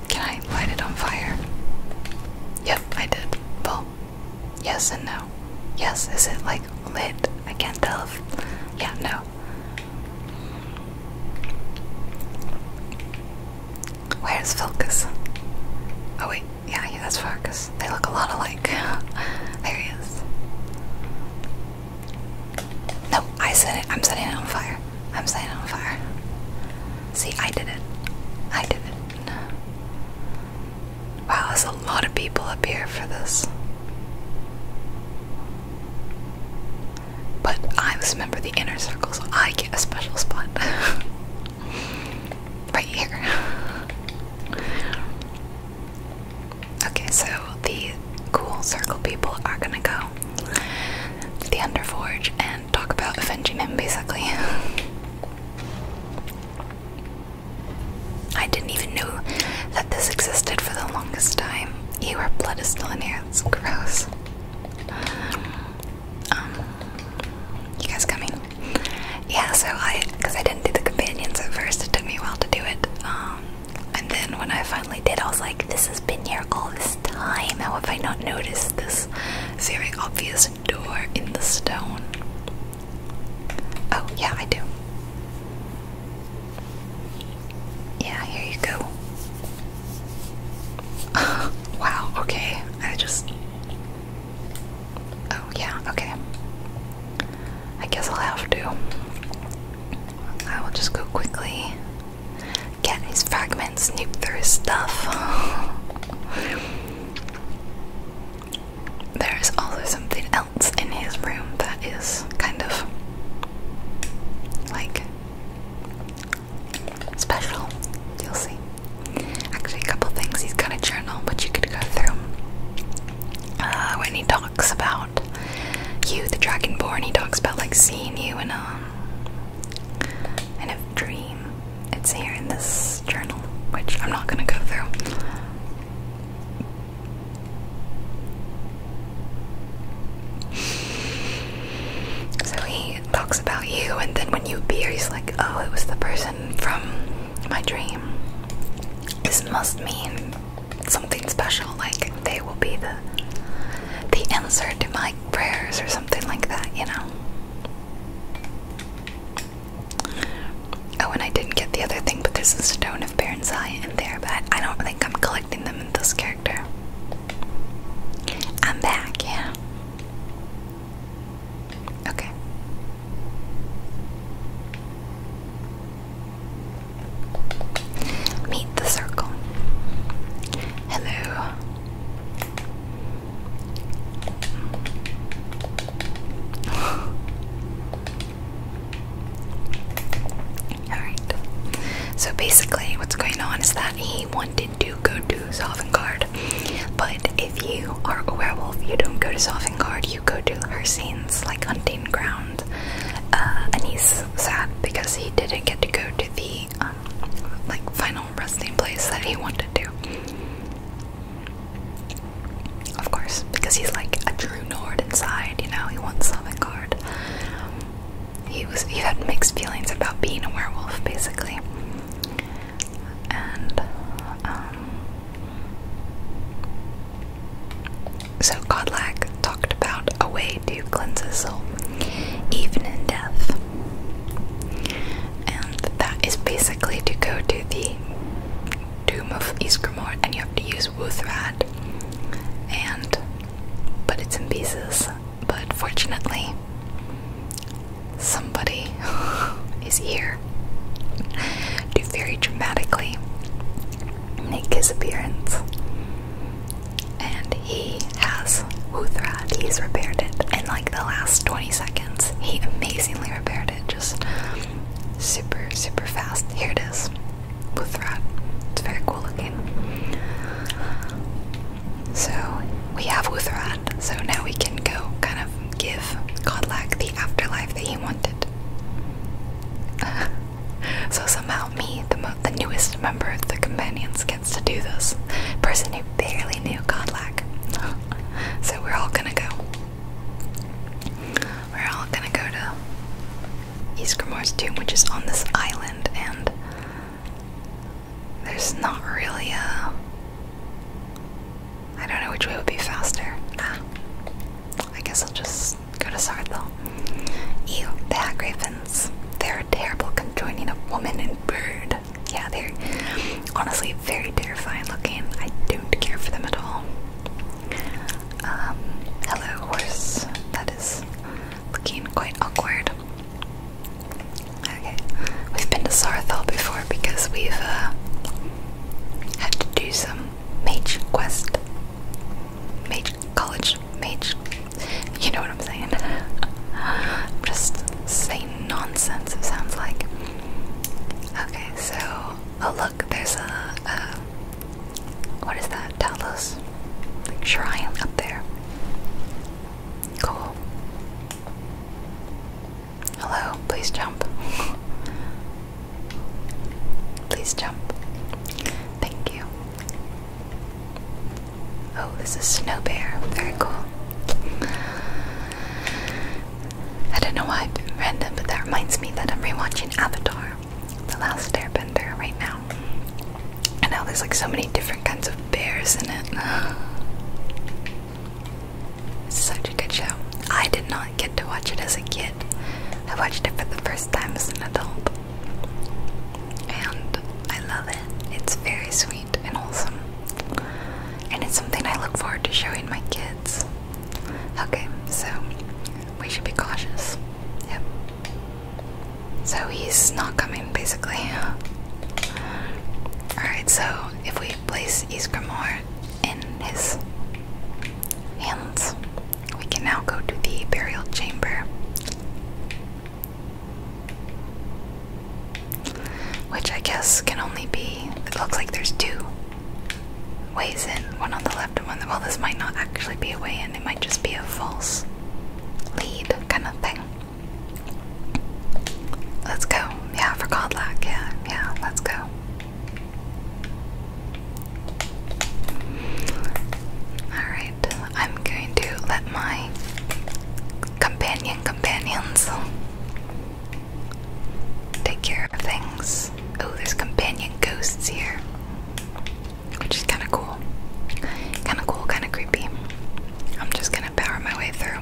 Can I light it on fire? Yep, I did. Well, yes and no. Yes, is it like lit? I can't tell if. Yeah, no. Where's Filkus? Oh wait, yeah, yeah, that's Farkas. They look a lot alike. there he is. No, I said it. I'm setting it on fire. I'm setting it on fire. See, I did it. I did it. Wow, there's a lot of people up here for this. But I was a member of the inner circles. so I get a special spot. right here. Okay, so the cool circle people are gonna go to the Underforge and talk about avenging him, basically. I didn't even know that this existed for the longest time. Your blood is still in here, it's gross. Um, you guys coming? Yeah, so I, because I didn't do the companions at first, it took me a while to do it. Um, and then when I finally did, I was like, this has been here all this time. How have I not noticed this very obvious door in the stone? Oh, yeah, I do. Yeah, here you go. wow, okay. I just. Oh, yeah, okay. I guess I'll have to. I will just go quickly get his fragments, snoop through his stuff. There is also something else in his room that is kind of like special. You'll see. Actually, a couple things. He's got a journal which you could go through. Uh, when he talks about you, the Dragonborn, he talks about like seeing you in a in a dream. It's here in this journal, which I'm not gonna go through. So he talks about you, and then when you appear, he's like, Oh, it was the person from my dream. This must mean something special, like they will be the the answer to my prayers or something like that, you know. Oh, and I didn't get the other thing, but there's a stone of Baron's eye in there, but I don't think I'm collecting them in this character. I'm back, yeah. Okay. Meet the circle. Hello. Alright. So basically, what's going on is that he wanted do go to Sovngarde. But if you are a werewolf, you don't go to Sovngarde, you go to her scenes like hunting ground. Uh, and he's sad because he didn't get to go to the um, like final resting place that he wanted to. Of course, because he's like a true Nord inside, you know, he wants Sovngarde he was he had mixed feelings about being a werewolf basically and um, so Godlack talked about a way to cleanse his soul even in death and that is basically to go to the Doom of Isgrimor and you have to use Wuthrad and but it's in pieces but fortunately, somebody is here to very dramatically make his appearance. And he has Uthrat, he's repaired it in like the last 20 seconds. He amazingly repaired it, just super, super fast. Here it is. Uthrat. It's very cool looking. So we have Uthrad, so now we can go kind of give Godlak the afterlife that he wanted. so somehow me, the, the newest member of the companions, gets to do this. Person who barely knew Godlak. so we're all gonna go. We're all gonna go to Isgrimor's tomb, which is on this island, and there's not really a. I don't know which way would be faster. Ah, I guess I'll just go to Sarthel. Ew, the hat They're terrible conjoining of woman and bird. Yeah, they're honestly very terrifying looking. I don't care for them at all. Um, hello, horse. That is looking quite awkward. Okay, we've been to Sarathol before because we've uh, had to do some mage quest, mage college, mage. You know what I'm saying? just saying nonsense. It sounds like. Okay, so oh look, there's a, what is that? Talos like, shrine up there. Cool. Hello, please jump. please jump. Thank you. Oh, this is Snow Bear. Very cool. I don't know why I'm random, but that reminds me that I'm rewatching Avatar, The Last Airbender, right now. And now there's like so many different kinds of bears in it. Such a good show. I did not get to watch it as a kid. I watched it for the first time as an adult. And I love it. It's very sweet and wholesome. And it's something I look forward to showing my kids. Okay, so we should be cautious. Yep. So he's not coming basically. Alright, so if we place Isgrimor in his hands, we can now go to the burial chamber. Which I guess can only be. It looks like there's two ways in one on the left and one Well, this might not actually be a way in, it might just be a false lead kind of thing. Let's go. Yeah, for Godlock. Yeah, yeah, let's go. Alright, I'm going to let my companion companions take care of things. Oh, there's companion ghosts here. Which is kinda cool. Kinda cool, kinda creepy. I'm just gonna power my way through.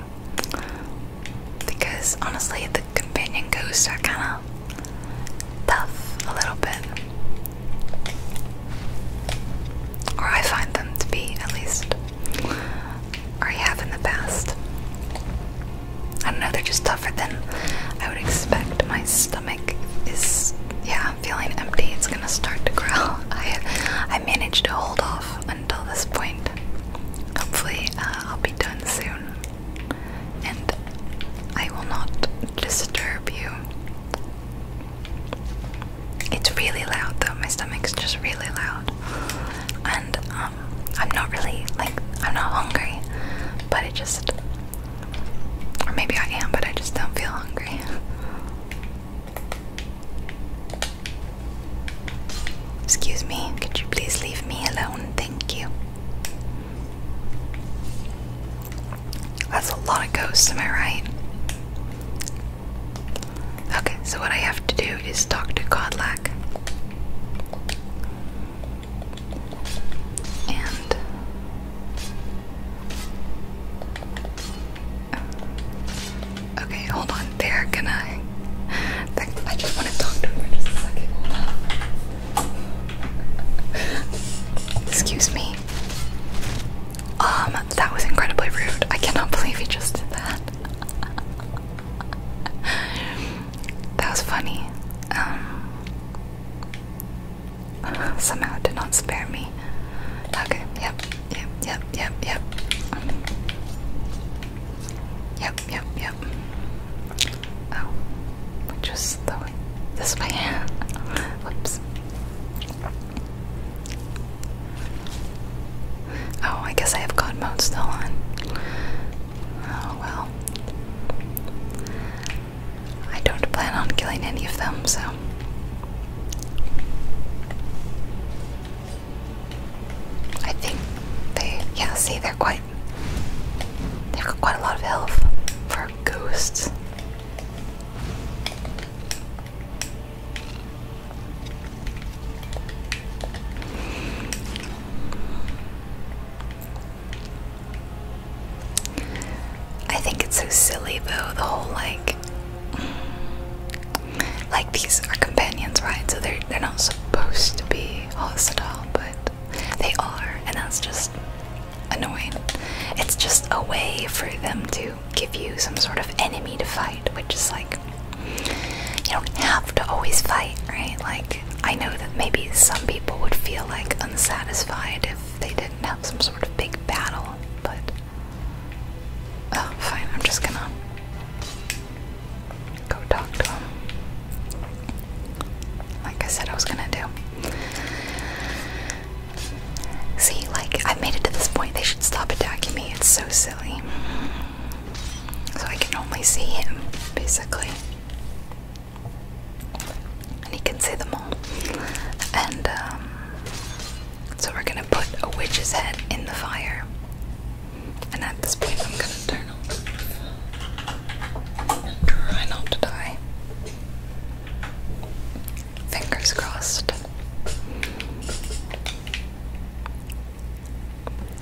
Because honestly, the companion ghosts are kind of tough a little bit. Or I find them to be, at least. Or I have in the past. I don't know, they're just tougher than I would expect. My stomach is, yeah, feeling empty. It's gonna start to growl. I, I managed to hold off until this point. Hopefully, uh, I'll be done soon, and I will not disturb you. It's really loud though, my stomach's just really loud. And um, I'm not really, like, I'm not hungry, but it just, or maybe I am, but I just don't feel hungry. Excuse me, could you please leave me alone? Thank you. That's a lot of ghosts, am I right? Okay, so what I have to do is talk to Godlack. And Okay, hold on. They're going I just want to talk to her for just a second. Excuse me. Um, that was incredibly rude. I cannot believe he just did that. that was funny. Um, somehow did not spare me. Okay, yep. Yep, yep, yep, yep. Yep, yep, yep. Oh, which was the way? This way. Whoops. Oh, I guess I have God mode still on. Oh well. I don't plan on killing any of them, so. I think they, yeah, see, they're quite, they've got quite a lot of health for ghosts. I think it's so silly though, the whole like like these are companions, right? So they're they're not supposed to be hostile, but they are, and that's just annoying. It's just a way for them to give you some sort of enemy to fight, which is like you don't have to always fight, right? Like I know that maybe some people would feel like unsatisfied if they didn't have some sort of big battle, but Oh, fine, I'm just gonna go talk to him. Like I said, I was gonna do. See, like, I've made it to this point, they should stop attacking me. It's so silly. So I can only see him, basically. And he can see them all. And, um, so we're gonna put a witch's head in the fire. And at this point, I'm gonna turn on the Try not to die. Fingers crossed.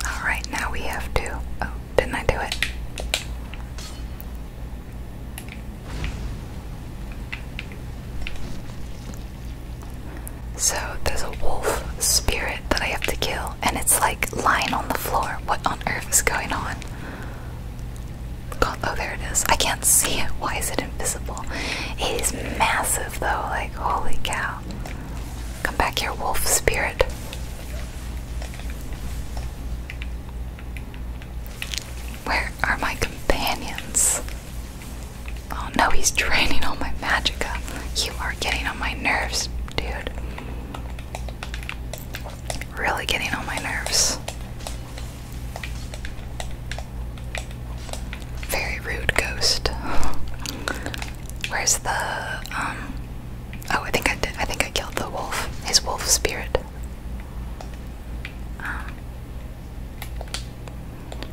Alright, now we have to. Oh, didn't I do it? So there's a wolf spirit that I have to kill, and it's like lying on the floor. What on earth is going on? oh, there it is. I can't see it. Why is it invisible? It is massive, though. Like, holy cow. Come back here, wolf spirit. Where are my companions? Oh no, he's draining all my magica. You are getting on my nerves, dude. Really getting on my nerves. Very rude ghost. Where's the um Oh, I think I did I think I killed the wolf. His wolf spirit. Um,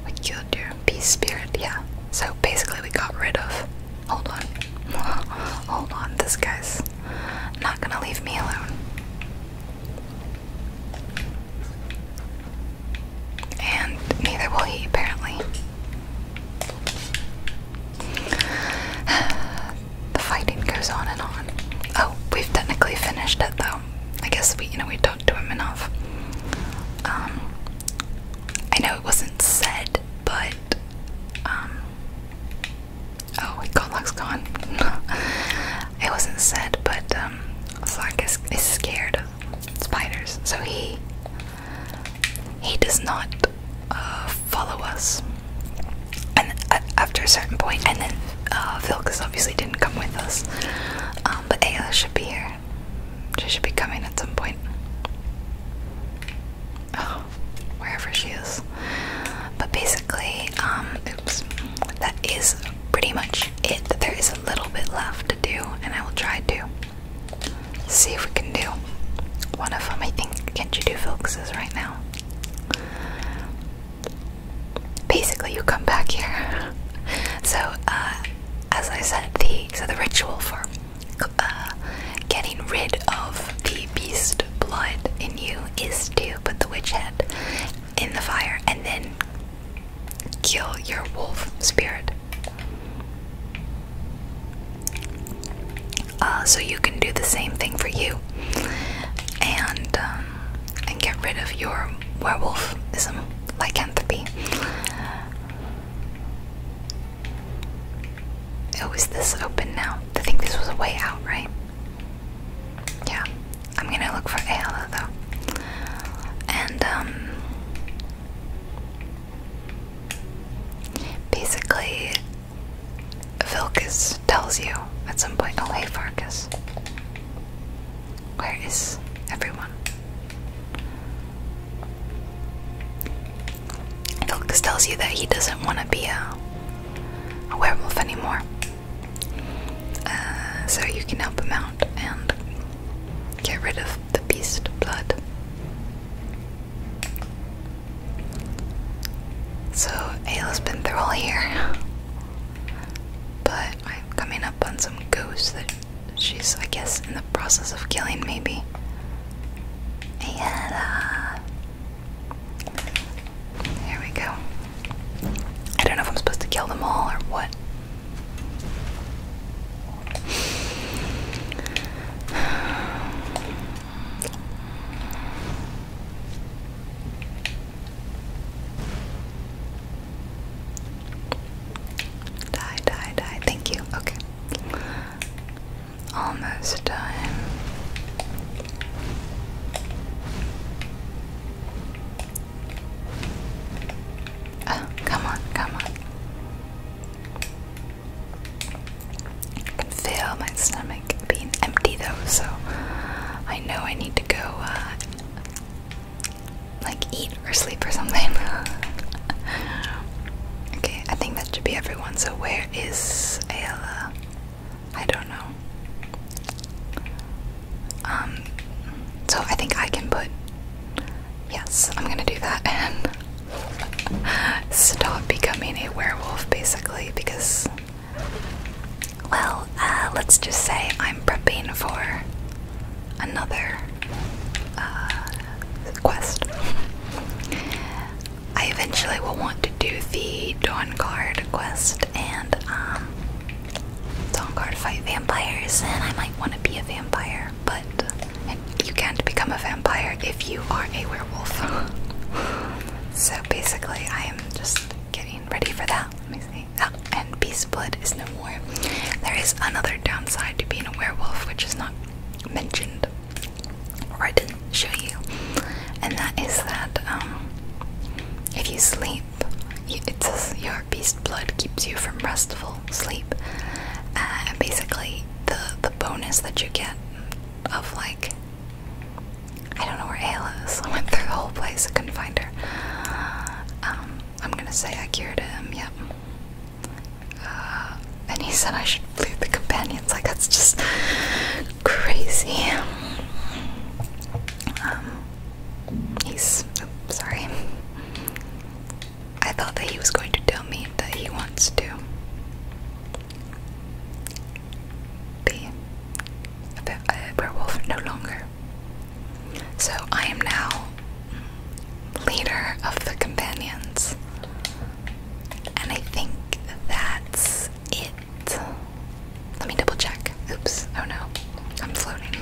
we killed your peace spirit, yeah. So basically, we got rid of. Hold on. Hold on, this guy's not gonna leave me alone. And neither will he, apparently. the fighting goes on and on. Oh, we've technically finished it though. I guess we, you know, we talked to him enough. Um, I know it wasn't said, but um oh wait, Godlock's gone. it wasn't said, but um Flock is, is scared of spiders, so he he does not uh, follow us. And uh, after a certain point, and then uh, Vilkas obviously didn't come with us, um, but Ayla should be here. She should be coming at some point. Oh, wherever she is. But basically, um, oops, that is pretty much it. There is a little bit left to do, and I will try to see if we can do one of them. I think, can't you do Felix's right now? Basically, you come back here. So, uh, as I said, the so the ritual for uh, getting rid of the beast blood in you is to put the witch head in the fire and then kill your wolf spirit. Uh, so you can do the same thing for you, and um, and get rid of your werewolfism lycanthropy. Oh, is this open now? I think this was a way out, right? Yeah. I'm gonna look for Ayala though. And um basically Vilcus tells you at some point, oh hey Farkas. Where is everyone? Vilks tells you that he doesn't want to be a, werewolf anymore. Uh, so you can help him out and get rid of the beast blood. So Ayla's been through all here. But I'm coming up on some ghosts that she's, I guess, in the process of killing, maybe. And, there uh, we go. I don't know if I'm supposed to kill them all or what. Die, die, die. Thank you. Okay. Almost done. Ah, come on, come on. I can feel my stomach being empty though, so I know I need to go uh, like eat or sleep or something. okay, I think that should be everyone. So where is Ayla? I don't know. Um so I think I can put Yes, I'm gonna do that and stop becoming a werewolf basically because well, uh, let's just say I'm prepping for another uh, quest. I eventually will want to do the Dawn Guard quest and um, Dawn Guard fight vampires, and I might want to be a vampire, but you can't become a vampire if you are a werewolf. so basically, I am just getting ready for that. Let me see. Oh, and Beast Blood is no more. There is another downside to being a werewolf, which is not mentioned or I didn't show you, and that is that um, if you sleep, it's your beast blood keeps you from restful sleep, uh, and basically the the bonus that you get of like I don't know where Ayla is. I went through the whole place, I couldn't find her. Um, I'm gonna say I cured him. Yep. Uh, and he said I should loot the companions. Like that's just crazy. Um, he's oh, sorry. I thought that he was going to tell me that he wants to be a werewolf no longer. So I am now leader of the companions. And I think that's it. Let me double check. Oops. Oh no. I'm floating.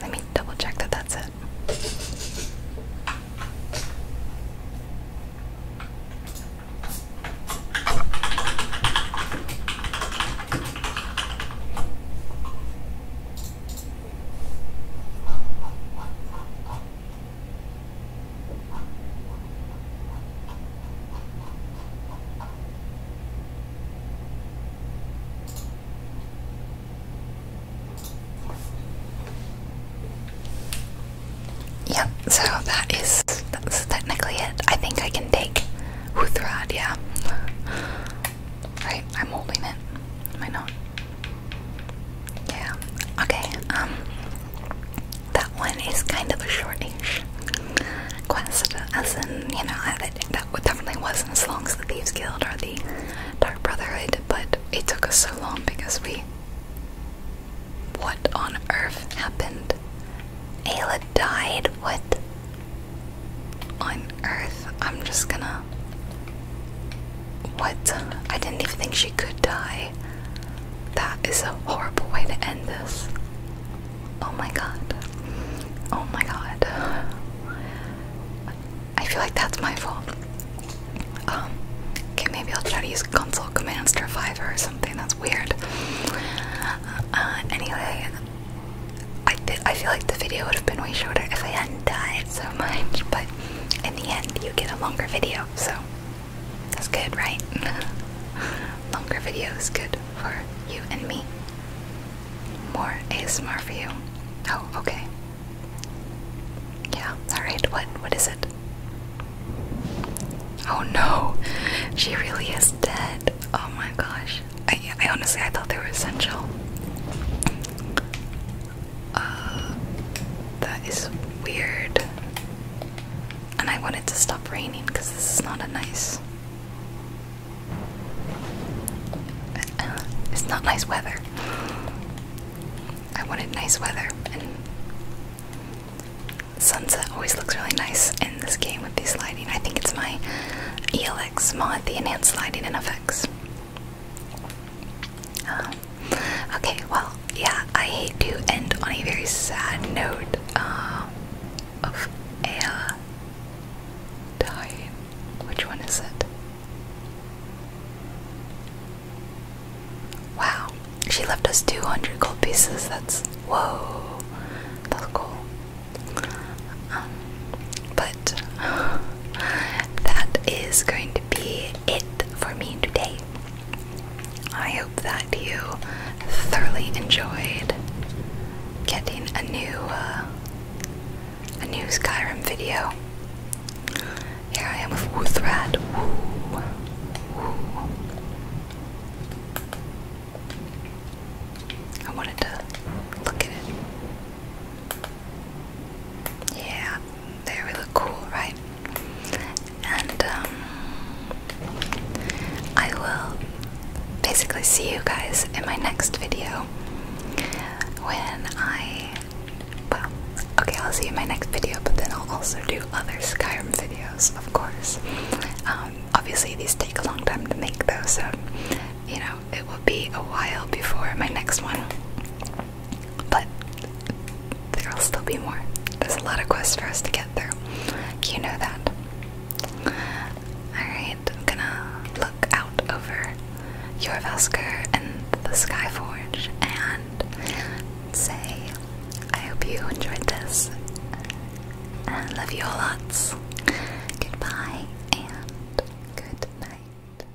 Let me double check that that's it. Yep, so that is that's technically it. I think I can take Uthrad, yeah. Right, I'm holding it. Am I not? Yeah. Okay. Um, that one is kind of a shortish quest, as in, you know, I, that definitely wasn't as long as the Thieves Guild or the Dark Brotherhood, but it took us so long because we. What on earth happened? Ayla died? What? On earth? I'm just gonna. What? I didn't even think she could die. That is a horrible way to end this. Oh my god. Oh my god. I feel like that's my fault. Um, okay, maybe I'll try to use console commands to revive her or something. That's weird. Uh, anyway, I feel like the video would have been way shorter if I had Die so much, but in the end, you get a longer video, so that's good, right? longer video is good for you and me. More ASMR for you. Oh, okay. Yeah, alright, what, what is it? Oh no, she really is dead. Oh my gosh. I, I honestly, I thought they were essential. Uh, that is weird. And I want it to stop raining because this is not a nice. Uh, it's not nice weather. I wanted nice weather, and sunset always looks really nice in this game with these lighting. I think it's my ELX mod, the enhanced lighting and effects. Um, okay, well, yeah, I hate to end on a very sad note uh, of Aya dying. Which one is it? Wow, she left us 200 gold pieces. That's whoa, that's cool. Um, but that is going be it for me today. I hope that you thoroughly enjoyed getting a new uh, a new Skyrim video. Here I am with Wuthrad. Woo. I wanted to look at it. Yeah, they're really cool, right? And um, I will basically see you guys in my next video when I. Well, okay, I'll see you in my next video, but then I'll also do other Skyrim videos, of course. Um, obviously, these take a long time to make, though, so you know, it will be a while before my next one. But there'll still be more. There's a lot of quests for us to get through. You know that. Alright, I'm gonna look out over your Vesker and the Skyforge and say, I hope you enjoyed this. And love you all lots. Goodbye and good night.